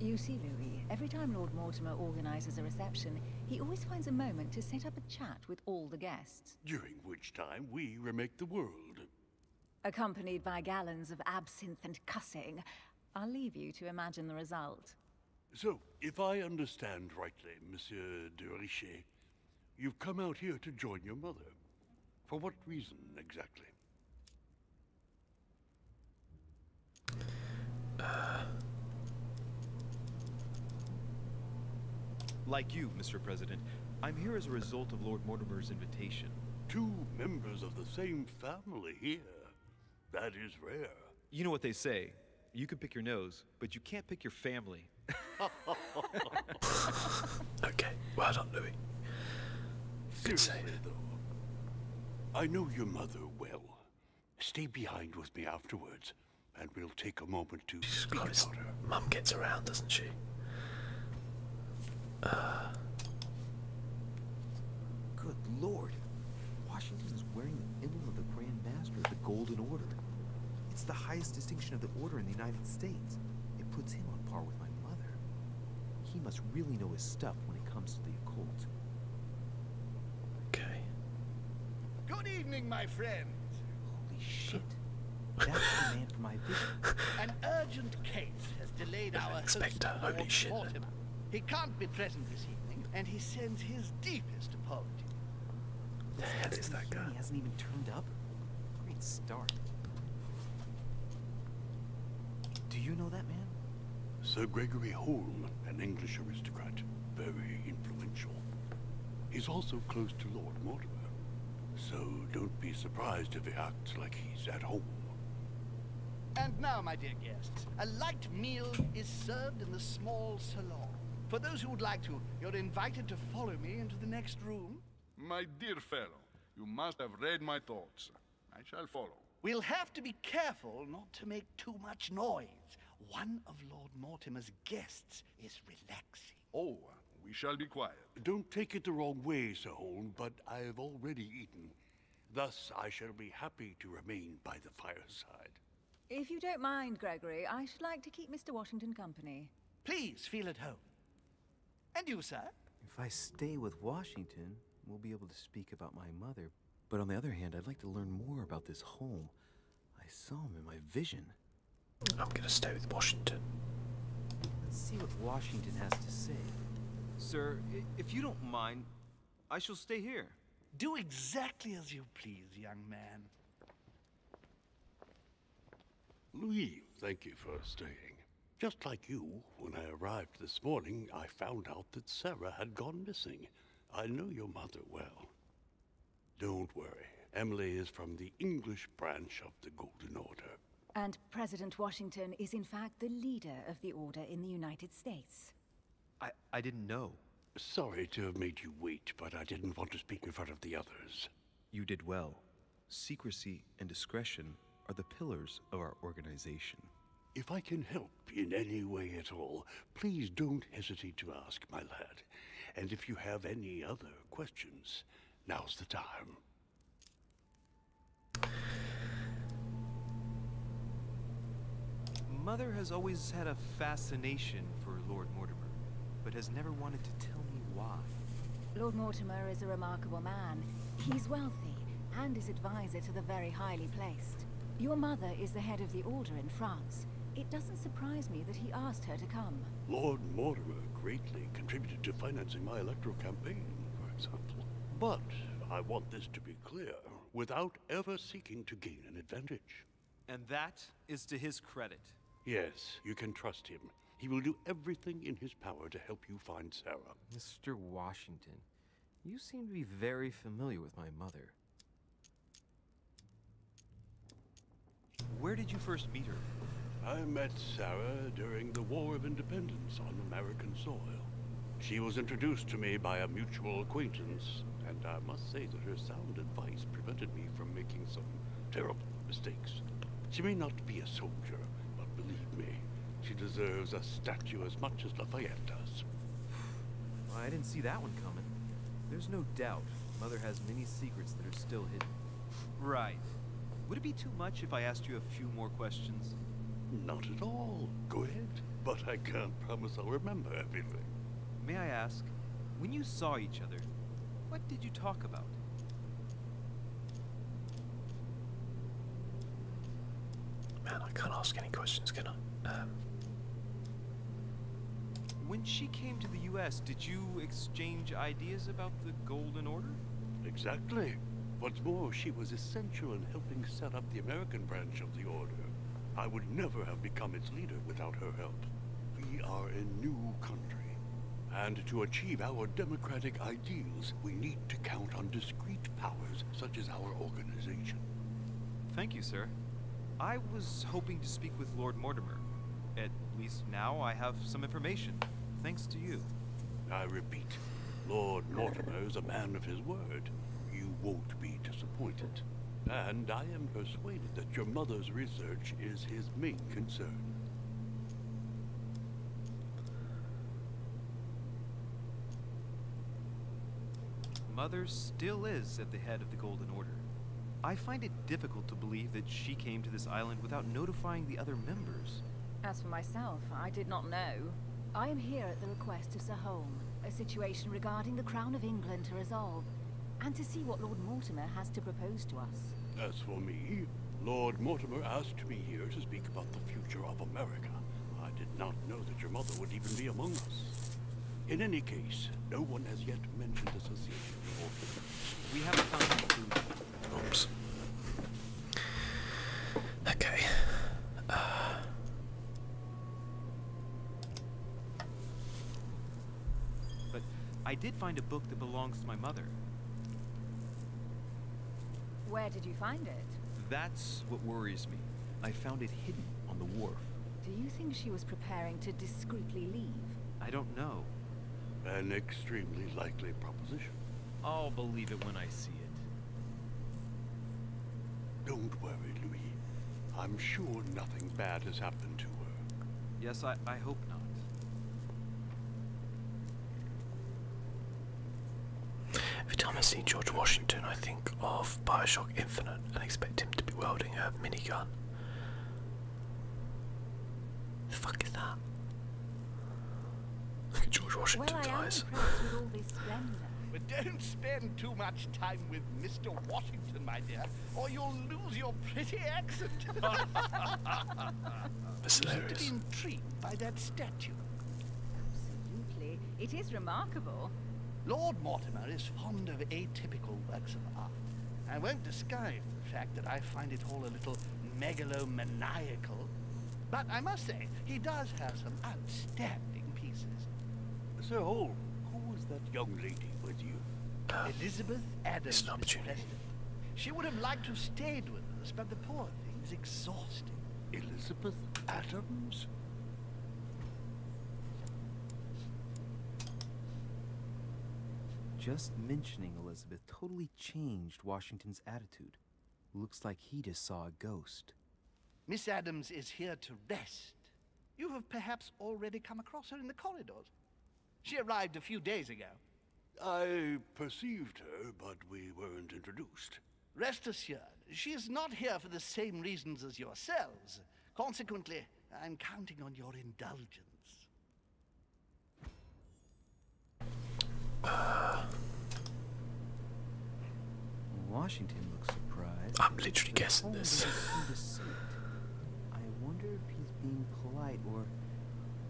You see, Louis, every time Lord Mortimer organizes a reception, he always finds a moment to set up a chat with all the guests. During which time we remake the world. Accompanied by gallons of absinthe and cussing, I'll leave you to imagine the result. So, if I understand rightly, Monsieur de Richet, you've come out here to join your mother. For what reason, exactly? Uh. Like you, Mr. President, I'm here as a result of Lord Mortimer's invitation. Two members of the same family here. That is rare. You know what they say. You can pick your nose, but you can't pick your family. okay, well done, Louis. Good save. I know your mother well. Stay behind with me afterwards and we'll take a moment to God, his mum gets around, doesn't she? Uh... Good lord. Washington is wearing the emblem of the Grand Master of the Golden Order. It's the highest distinction of the order in the United States. It puts him on par with my mother. He must really know his stuff when it comes to the occult. Okay. Good evening, my friends. Holy shit. That's the man for my visit. An urgent case has delayed our Inspector, host, Mortimer. He can't be present this evening, and he sends his deepest apologies. The that guy? He hasn't even turned up. Great start. Do you know that man? Sir Gregory Holm, an English aristocrat, very influential. He's also close to Lord Mortimer so don't be surprised if he acts like he's at home. And now, my dear guests, a light meal is served in the small salon. For those who would like to, you're invited to follow me into the next room. My dear fellow, you must have read my thoughts. I shall follow. We'll have to be careful not to make too much noise. One of Lord Mortimer's guests is relaxing. Oh, we shall be quiet. Don't take it the wrong way, Sir Holm, but I have already eaten. Thus, I shall be happy to remain by the fireside. If you don't mind, Gregory, I should like to keep Mr. Washington company. Please, feel at home. And you, sir? If I stay with Washington, we'll be able to speak about my mother. But on the other hand, I'd like to learn more about this home. I saw him in my vision. I'm going to stay with Washington. Let's see what Washington has to say. Sir, if you don't mind, I shall stay here. Do exactly as you please, young man. Louis, thank you for staying. Just like you, when I arrived this morning, I found out that Sarah had gone missing. I know your mother well. Don't worry. Emily is from the English branch of the Golden Order. And President Washington is in fact the leader of the Order in the United States. I, I didn't know. Sorry to have made you wait, but I didn't want to speak in front of the others. You did well. Secrecy and discretion are the pillars of our organization. If I can help in any way at all, please don't hesitate to ask, my lad. And if you have any other questions, now's the time. Mother has always had a fascination for Lord Mortimer, but has never wanted to tell me why. Lord Mortimer is a remarkable man. He's wealthy, and is advisor to the very highly placed. Your mother is the head of the Order in France it doesn't surprise me that he asked her to come. Lord Mortimer greatly contributed to financing my electoral campaign, for example. But I want this to be clear, without ever seeking to gain an advantage. And that is to his credit. Yes, you can trust him. He will do everything in his power to help you find Sarah. Mr. Washington, you seem to be very familiar with my mother. Where did you first meet her? I met Sarah during the War of Independence on American soil. She was introduced to me by a mutual acquaintance, and I must say that her sound advice prevented me from making some terrible mistakes. She may not be a soldier, but believe me, she deserves a statue as much as Lafayette does. I didn't see that one coming. There's no doubt Mother has many secrets that are still hidden. Right. Would it be too much if I asked you a few more questions? Not at all. Go ahead. But I can't promise I'll remember everything. May I ask, when you saw each other, what did you talk about? Man, I can't ask any questions, can I? Um, when she came to the U.S., did you exchange ideas about the Golden Order? Exactly. What's more, she was essential in helping set up the American branch of the Order. I would never have become its leader without her help. We are a new country. And to achieve our democratic ideals, we need to count on discreet powers such as our organization. Thank you, sir. I was hoping to speak with Lord Mortimer. At least now I have some information, thanks to you. I repeat, Lord Mortimer is a man of his word. You won't be disappointed. And I am persuaded that your mother's research is his main concern. Mother still is at the head of the Golden Order. I find it difficult to believe that she came to this island without notifying the other members. As for myself, I did not know. I am here at the request of Sir Holm, a situation regarding the Crown of England to resolve, and to see what Lord Mortimer has to propose to us. As for me, Lord Mortimer asked me here to speak about the future of America. I did not know that your mother would even be among us. In any case, no one has yet mentioned the association we haven't found any Oops. Okay. Uh. but I did find a book that belongs to my mother. Where did you find it? That's what worries me. I found it hidden on the wharf. Do you think she was preparing to discreetly leave? I don't know. An extremely likely proposition. I'll believe it when I see it. Don't worry, Louis. I'm sure nothing bad has happened to her. Yes, I, I hope not. Every time I see George Washington, I think of Bioshock Infinite and expect him to be welding a minigun. The fuck is that? Look at George Washington's well, eyes. With don't spend too much time with Mr. Washington, my dear, or you'll lose your pretty accent. That's hilarious. Be intrigued by that statue. Absolutely, it is remarkable. Lord Mortimer is fond of atypical works of art. I won't disguise fact that I find it all a little megalomaniacal. But I must say, he does have some outstanding pieces. Sir Holm, who was that young lady with you? Elizabeth Adams, Mr. President. She would have liked to have stayed with us, but the poor thing is exhausted. Elizabeth Adams? Just mentioning Elizabeth totally changed Washington's attitude. Looks like he just saw a ghost. Miss Adams is here to rest. You have perhaps already come across her in the corridors. She arrived a few days ago. I perceived her, but we weren't introduced. Rest assured, she is not here for the same reasons as yourselves. Consequently, I'm counting on your indulgence. Washington looks surprised. I'm literally guessing this. I wonder if he's being polite or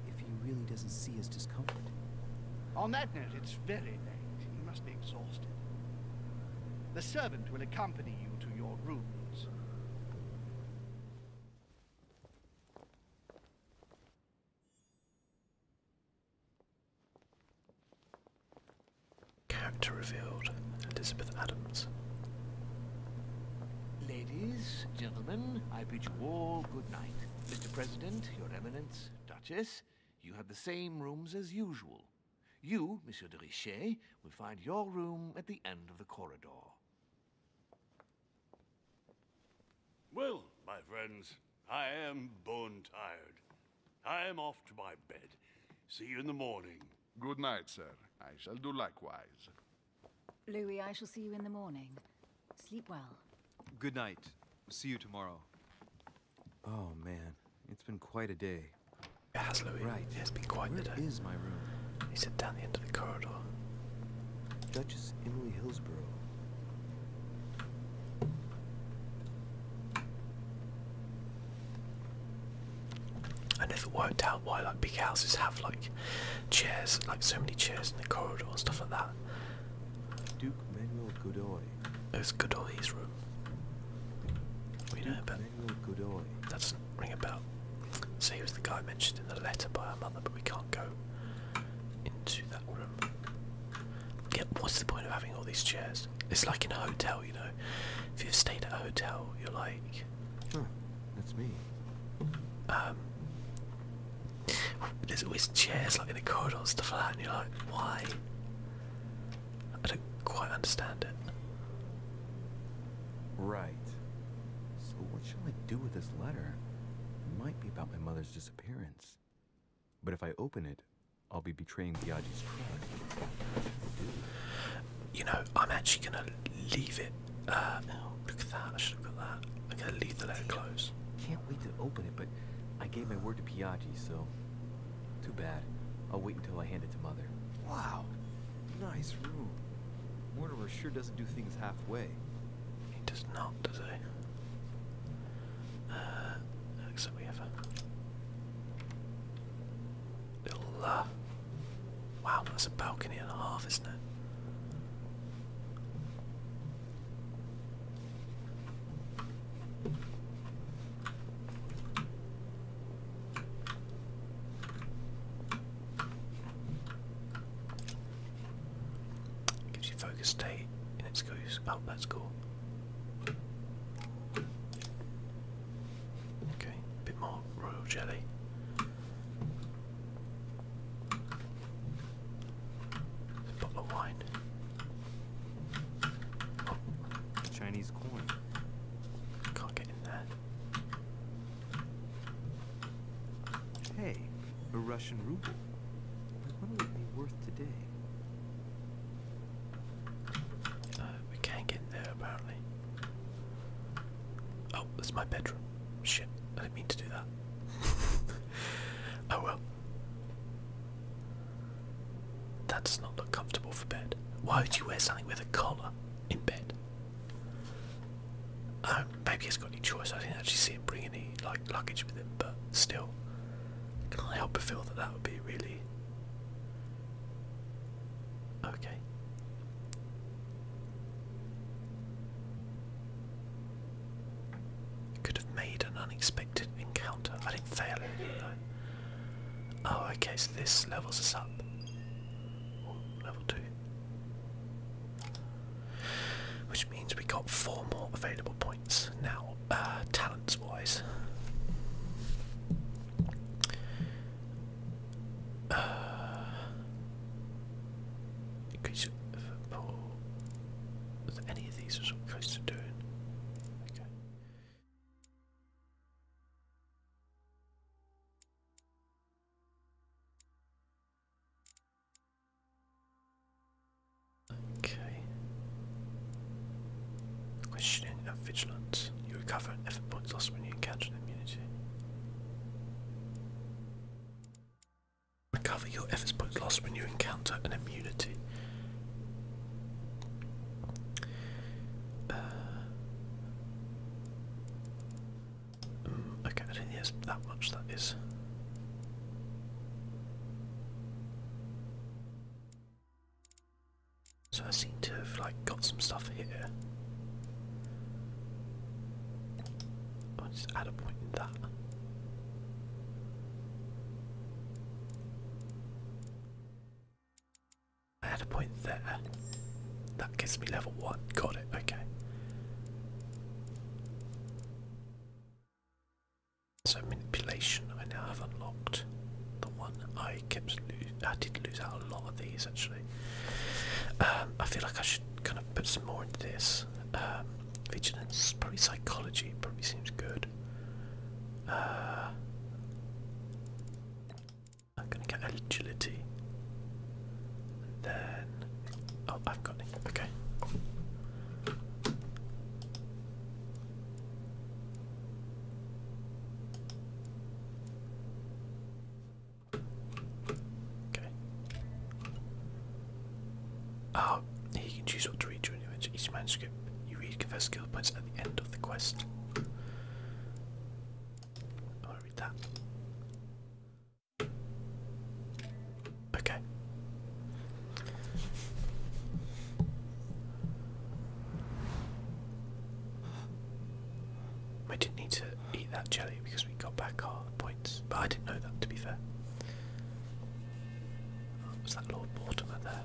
if he really doesn't see his discomfort. On that note, it's very late. He must be exhausted. The servant will accompany you to your rooms. Character revealed, Elizabeth Adams. Ladies, gentlemen, I bid you all good night. Mr. President, Your Eminence, Duchess, you have the same rooms as usual. You, Monsieur de Richet, will find your room at the end of the corridor. Well, my friends, I am bone tired. I am off to my bed. See you in the morning. Good night, sir. I shall do likewise. Louis, I shall see you in the morning. Sleep well. Good night. See you tomorrow. Oh, man. It's been quite a day. It Louis. Right. It has been quite a day. is my room? He sat down the end of the corridor. Duchess Emily Hillsborough. I never worked out why like big houses have like chairs, like so many chairs in the corridor and stuff like that. Duke Manuel Godoy. It was Godoy's room. We know about That's ring a bell. So he was the guy mentioned in the letter by our mother, but we can't go into that room. Yeah, what's the point of having all these chairs? It's like in a hotel, you know. If you've stayed at a hotel, you're like, huh, oh, that's me. Um, there's always chairs like in the corridors and stuff like that, and you're like, why? I don't quite understand it. Right. So what shall I do with this letter? It might be about my mother's disappearance. But if I open it, I'll be betraying Biaggi's trust. You know, I'm actually gonna leave it. Uh, look at that! I should have got that. I'm to leave the letter closed. Can't wait to open it, but I gave my word to Piaggi, so too bad. I'll wait until I hand it to Mother. Wow, Nice room. Mortimer sure doesn't do things halfway. He does not, does he? Uh, except we have a little, uh, wow, that's a balcony and a half, isn't it? Gives you focus state in its goose. Oh, that's cool. Okay, a bit more royal jelly. bottle of wine. Oh. Chinese coin. Can't get in there. Hey, a Russian ruble. What would it be worth today? Uh, we can't get there apparently. Oh, that's my bedroom. Shit, I didn't mean to do that. oh well. That does not look comfortable for bed. Why would you wear something with a collar in bed? Um, maybe it's got any choice. I didn't actually see him bring any like luggage with him, but still, can't help but feel that that would be really okay. Could have made an unexpected encounter. I didn't fail it Oh, okay. So this levels us up. level two. Which means we got four more available points now, talents wise. Uh, uh any of these is what to doing. Okay. Okay. Questioning and vigilance. You recover an effort point lost when you encounter an immunity. Recover your effort points lost when you encounter an immunity. Uh, um, okay, I that much, that is. So I seem to have like got some stuff here. i just add a point in that. I had a point there. That gives me level one. Got it, okay. So manipulation I now have unlocked. The one I kept lo I did lose out a lot of these actually. Um, I feel like I should kind of put some more into this. Um, vigilance, probably psychology, probably seems good. Uh, I'm gonna get agility. And then oh I've got it. Okay. Okay. Oh, ah, he can choose what to read during each manuscript. You read confess skill points at the end of the quest. I want read that. Okay. I didn't need to eat that jelly because we got back our points, but I didn't know that to be fair. was that Lord Mortimer there?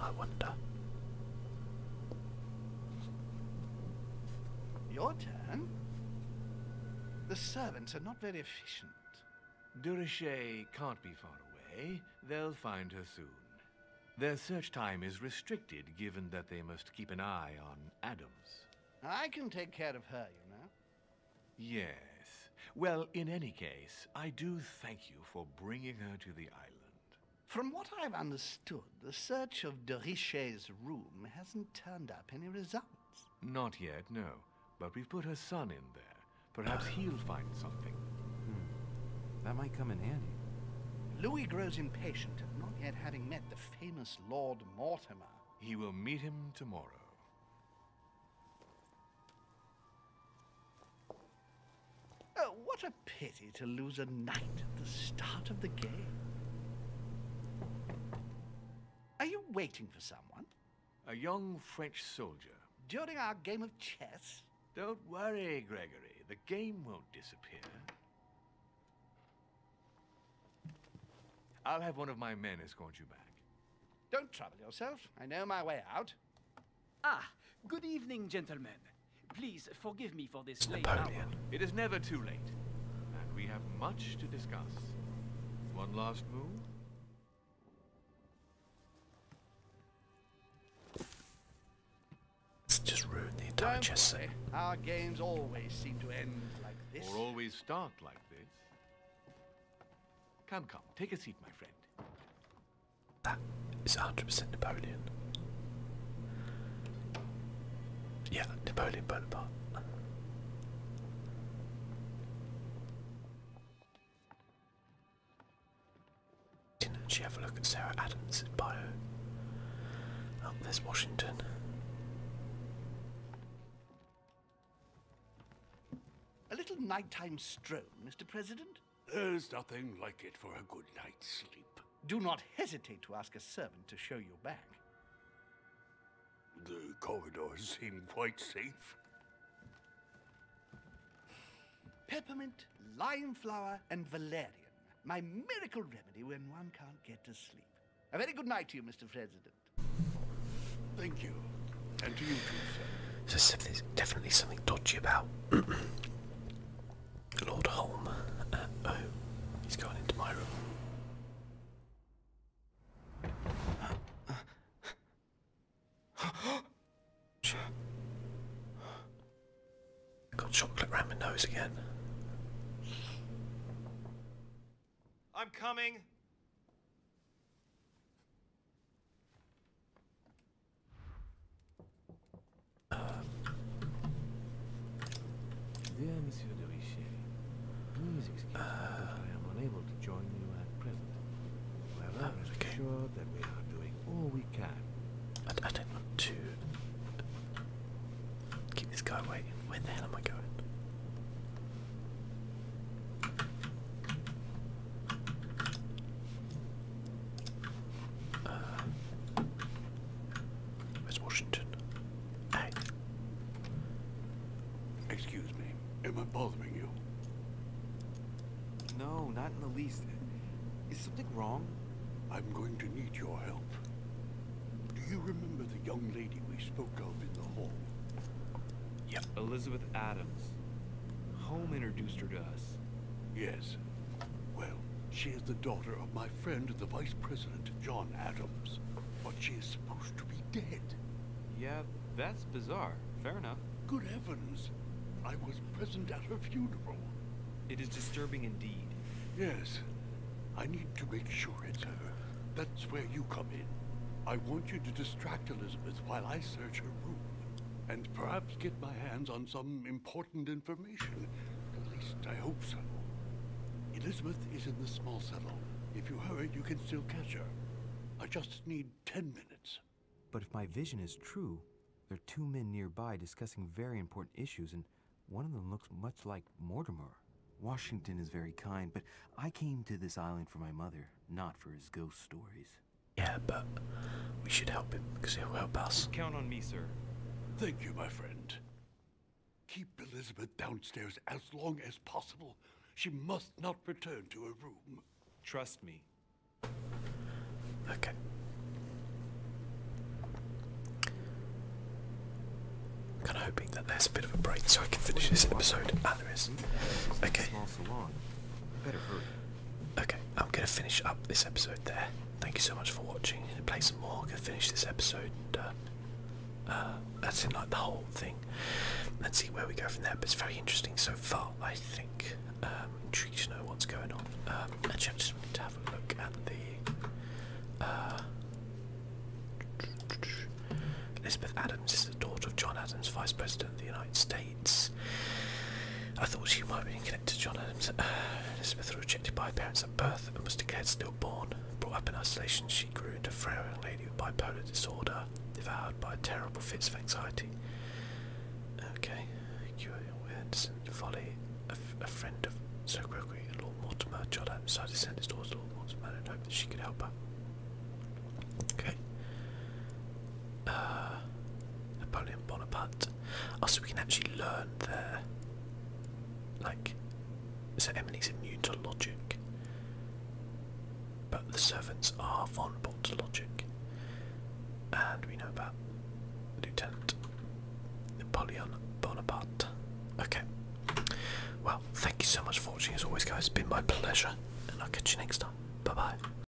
I wonder. Your turn? The servants are not very efficient. Durishay can't be far away. They'll find her soon. Their search time is restricted, given that they must keep an eye on Adams. I can take care of her, you know. Yes. Well, in any case, I do thank you for bringing her to the island. From what I've understood, the search of de room hasn't turned up any results. Not yet, no. But we've put her son in there. Perhaps he'll find something. Hmm. That might come in handy. Louis grows impatient at not yet having met the famous Lord Mortimer. He will meet him tomorrow. Oh, what a pity to lose a knight at the start of the game. Are you waiting for someone? A young French soldier. During our game of chess? Don't worry, Gregory. The game won't disappear. I'll have one of my men escort you back. Don't trouble yourself. I know my way out. Ah, good evening, gentlemen. Please forgive me for this late hour. It is never too late, and we have much to discuss. One last move? It's just rude, the entire Don't chess set. Our games always seem to end like this. Or always start like this. Come, come, take a seat, my friend. That is 100% Napoleon. Yeah, Napoleon Bonaparte. Didn't actually have a look at Sarah Adams' bio. Oh, there's Washington. A little nighttime stroll, Mr. President. There's nothing like it for a good night's sleep. Do not hesitate to ask a servant to show you back. The corridors seem quite safe. Peppermint, lime flower, and valerian. My miracle remedy when one can't get to sleep. A very good night to you, Mr. President. Thank you. And to you too, sir there's definitely something dodgy about Lord Holm. Uh, oh, he's going into my room. Got chocolate round my nose again. I'm coming. Dear Monsieur de Richet, please excuse me if I am unable to join you at present. Well, I'm sure that we are doing all we can. I, I don't want to keep this guy waiting. Where the hell am I going? Uh, Washington? Hey. Excuse me. Am I bothering you? No, not in the least. Is something wrong? I'm going to need your help. Do you remember the young lady we spoke of in the hall? Yep. Elizabeth Adams. Home introduced her to us. Yes. Well, she is the daughter of my friend, the Vice President, John Adams. But she is supposed to be dead. Yeah, that's bizarre. Fair enough. Good heavens! I was present at her funeral. It is disturbing indeed. Yes. I need to make sure it's her. That's where you come in. I want you to distract Elizabeth while I search her room. And perhaps get my hands on some important information. At least I hope so. Elizabeth is in the small cellar. If you hurry, you can still catch her. I just need ten minutes. But if my vision is true, there are two men nearby discussing very important issues, and one of them looks much like Mortimer. Washington is very kind, but I came to this island for my mother, not for his ghost stories. Yeah, but we should help him because he'll help us. Count on me, sir. Thank you, my friend. Keep Elizabeth downstairs as long as possible. She must not return to her room. Trust me. Okay. kind of hoping that there's a bit of a break so I can finish this episode. Ah, there is. Hmm? Okay. Okay, I'm going to finish up this episode there. Thank you so much for watching. i play some more. I'm going to finish this episode. Uh, uh, that's in like the whole thing. Let's see where we go from there. But it's very interesting so far, I think. Um, intrigued to know what's going on. Um, I just need to have a look at the. Uh, Elizabeth Adams is the daughter of John Adams, Vice President of the United States. I thought she might be connected to John Adams. Uh, Elizabeth was rejected by her parents at birth and was declared stillborn. Brought up in isolation, she grew into a frail young lady with bipolar disorder, devoured by terrible fits of anxiety. Okay, cure awareness and folly. A, friend of Sir Gregory and Lord Mortimer, John Adams, decided to send his daughter to Lord Mortimer and hoped that she could help her. Okay. Uh, Napoleon Bonaparte. Oh, so we can actually learn there. like, Sir Emily's immune to logic, but the servants are vulnerable to logic. And we know about Lieutenant Napoleon Bonaparte. Okay. Well, thank you so much for watching as always guys, it's been my pleasure, and I'll catch you next time. Bye bye.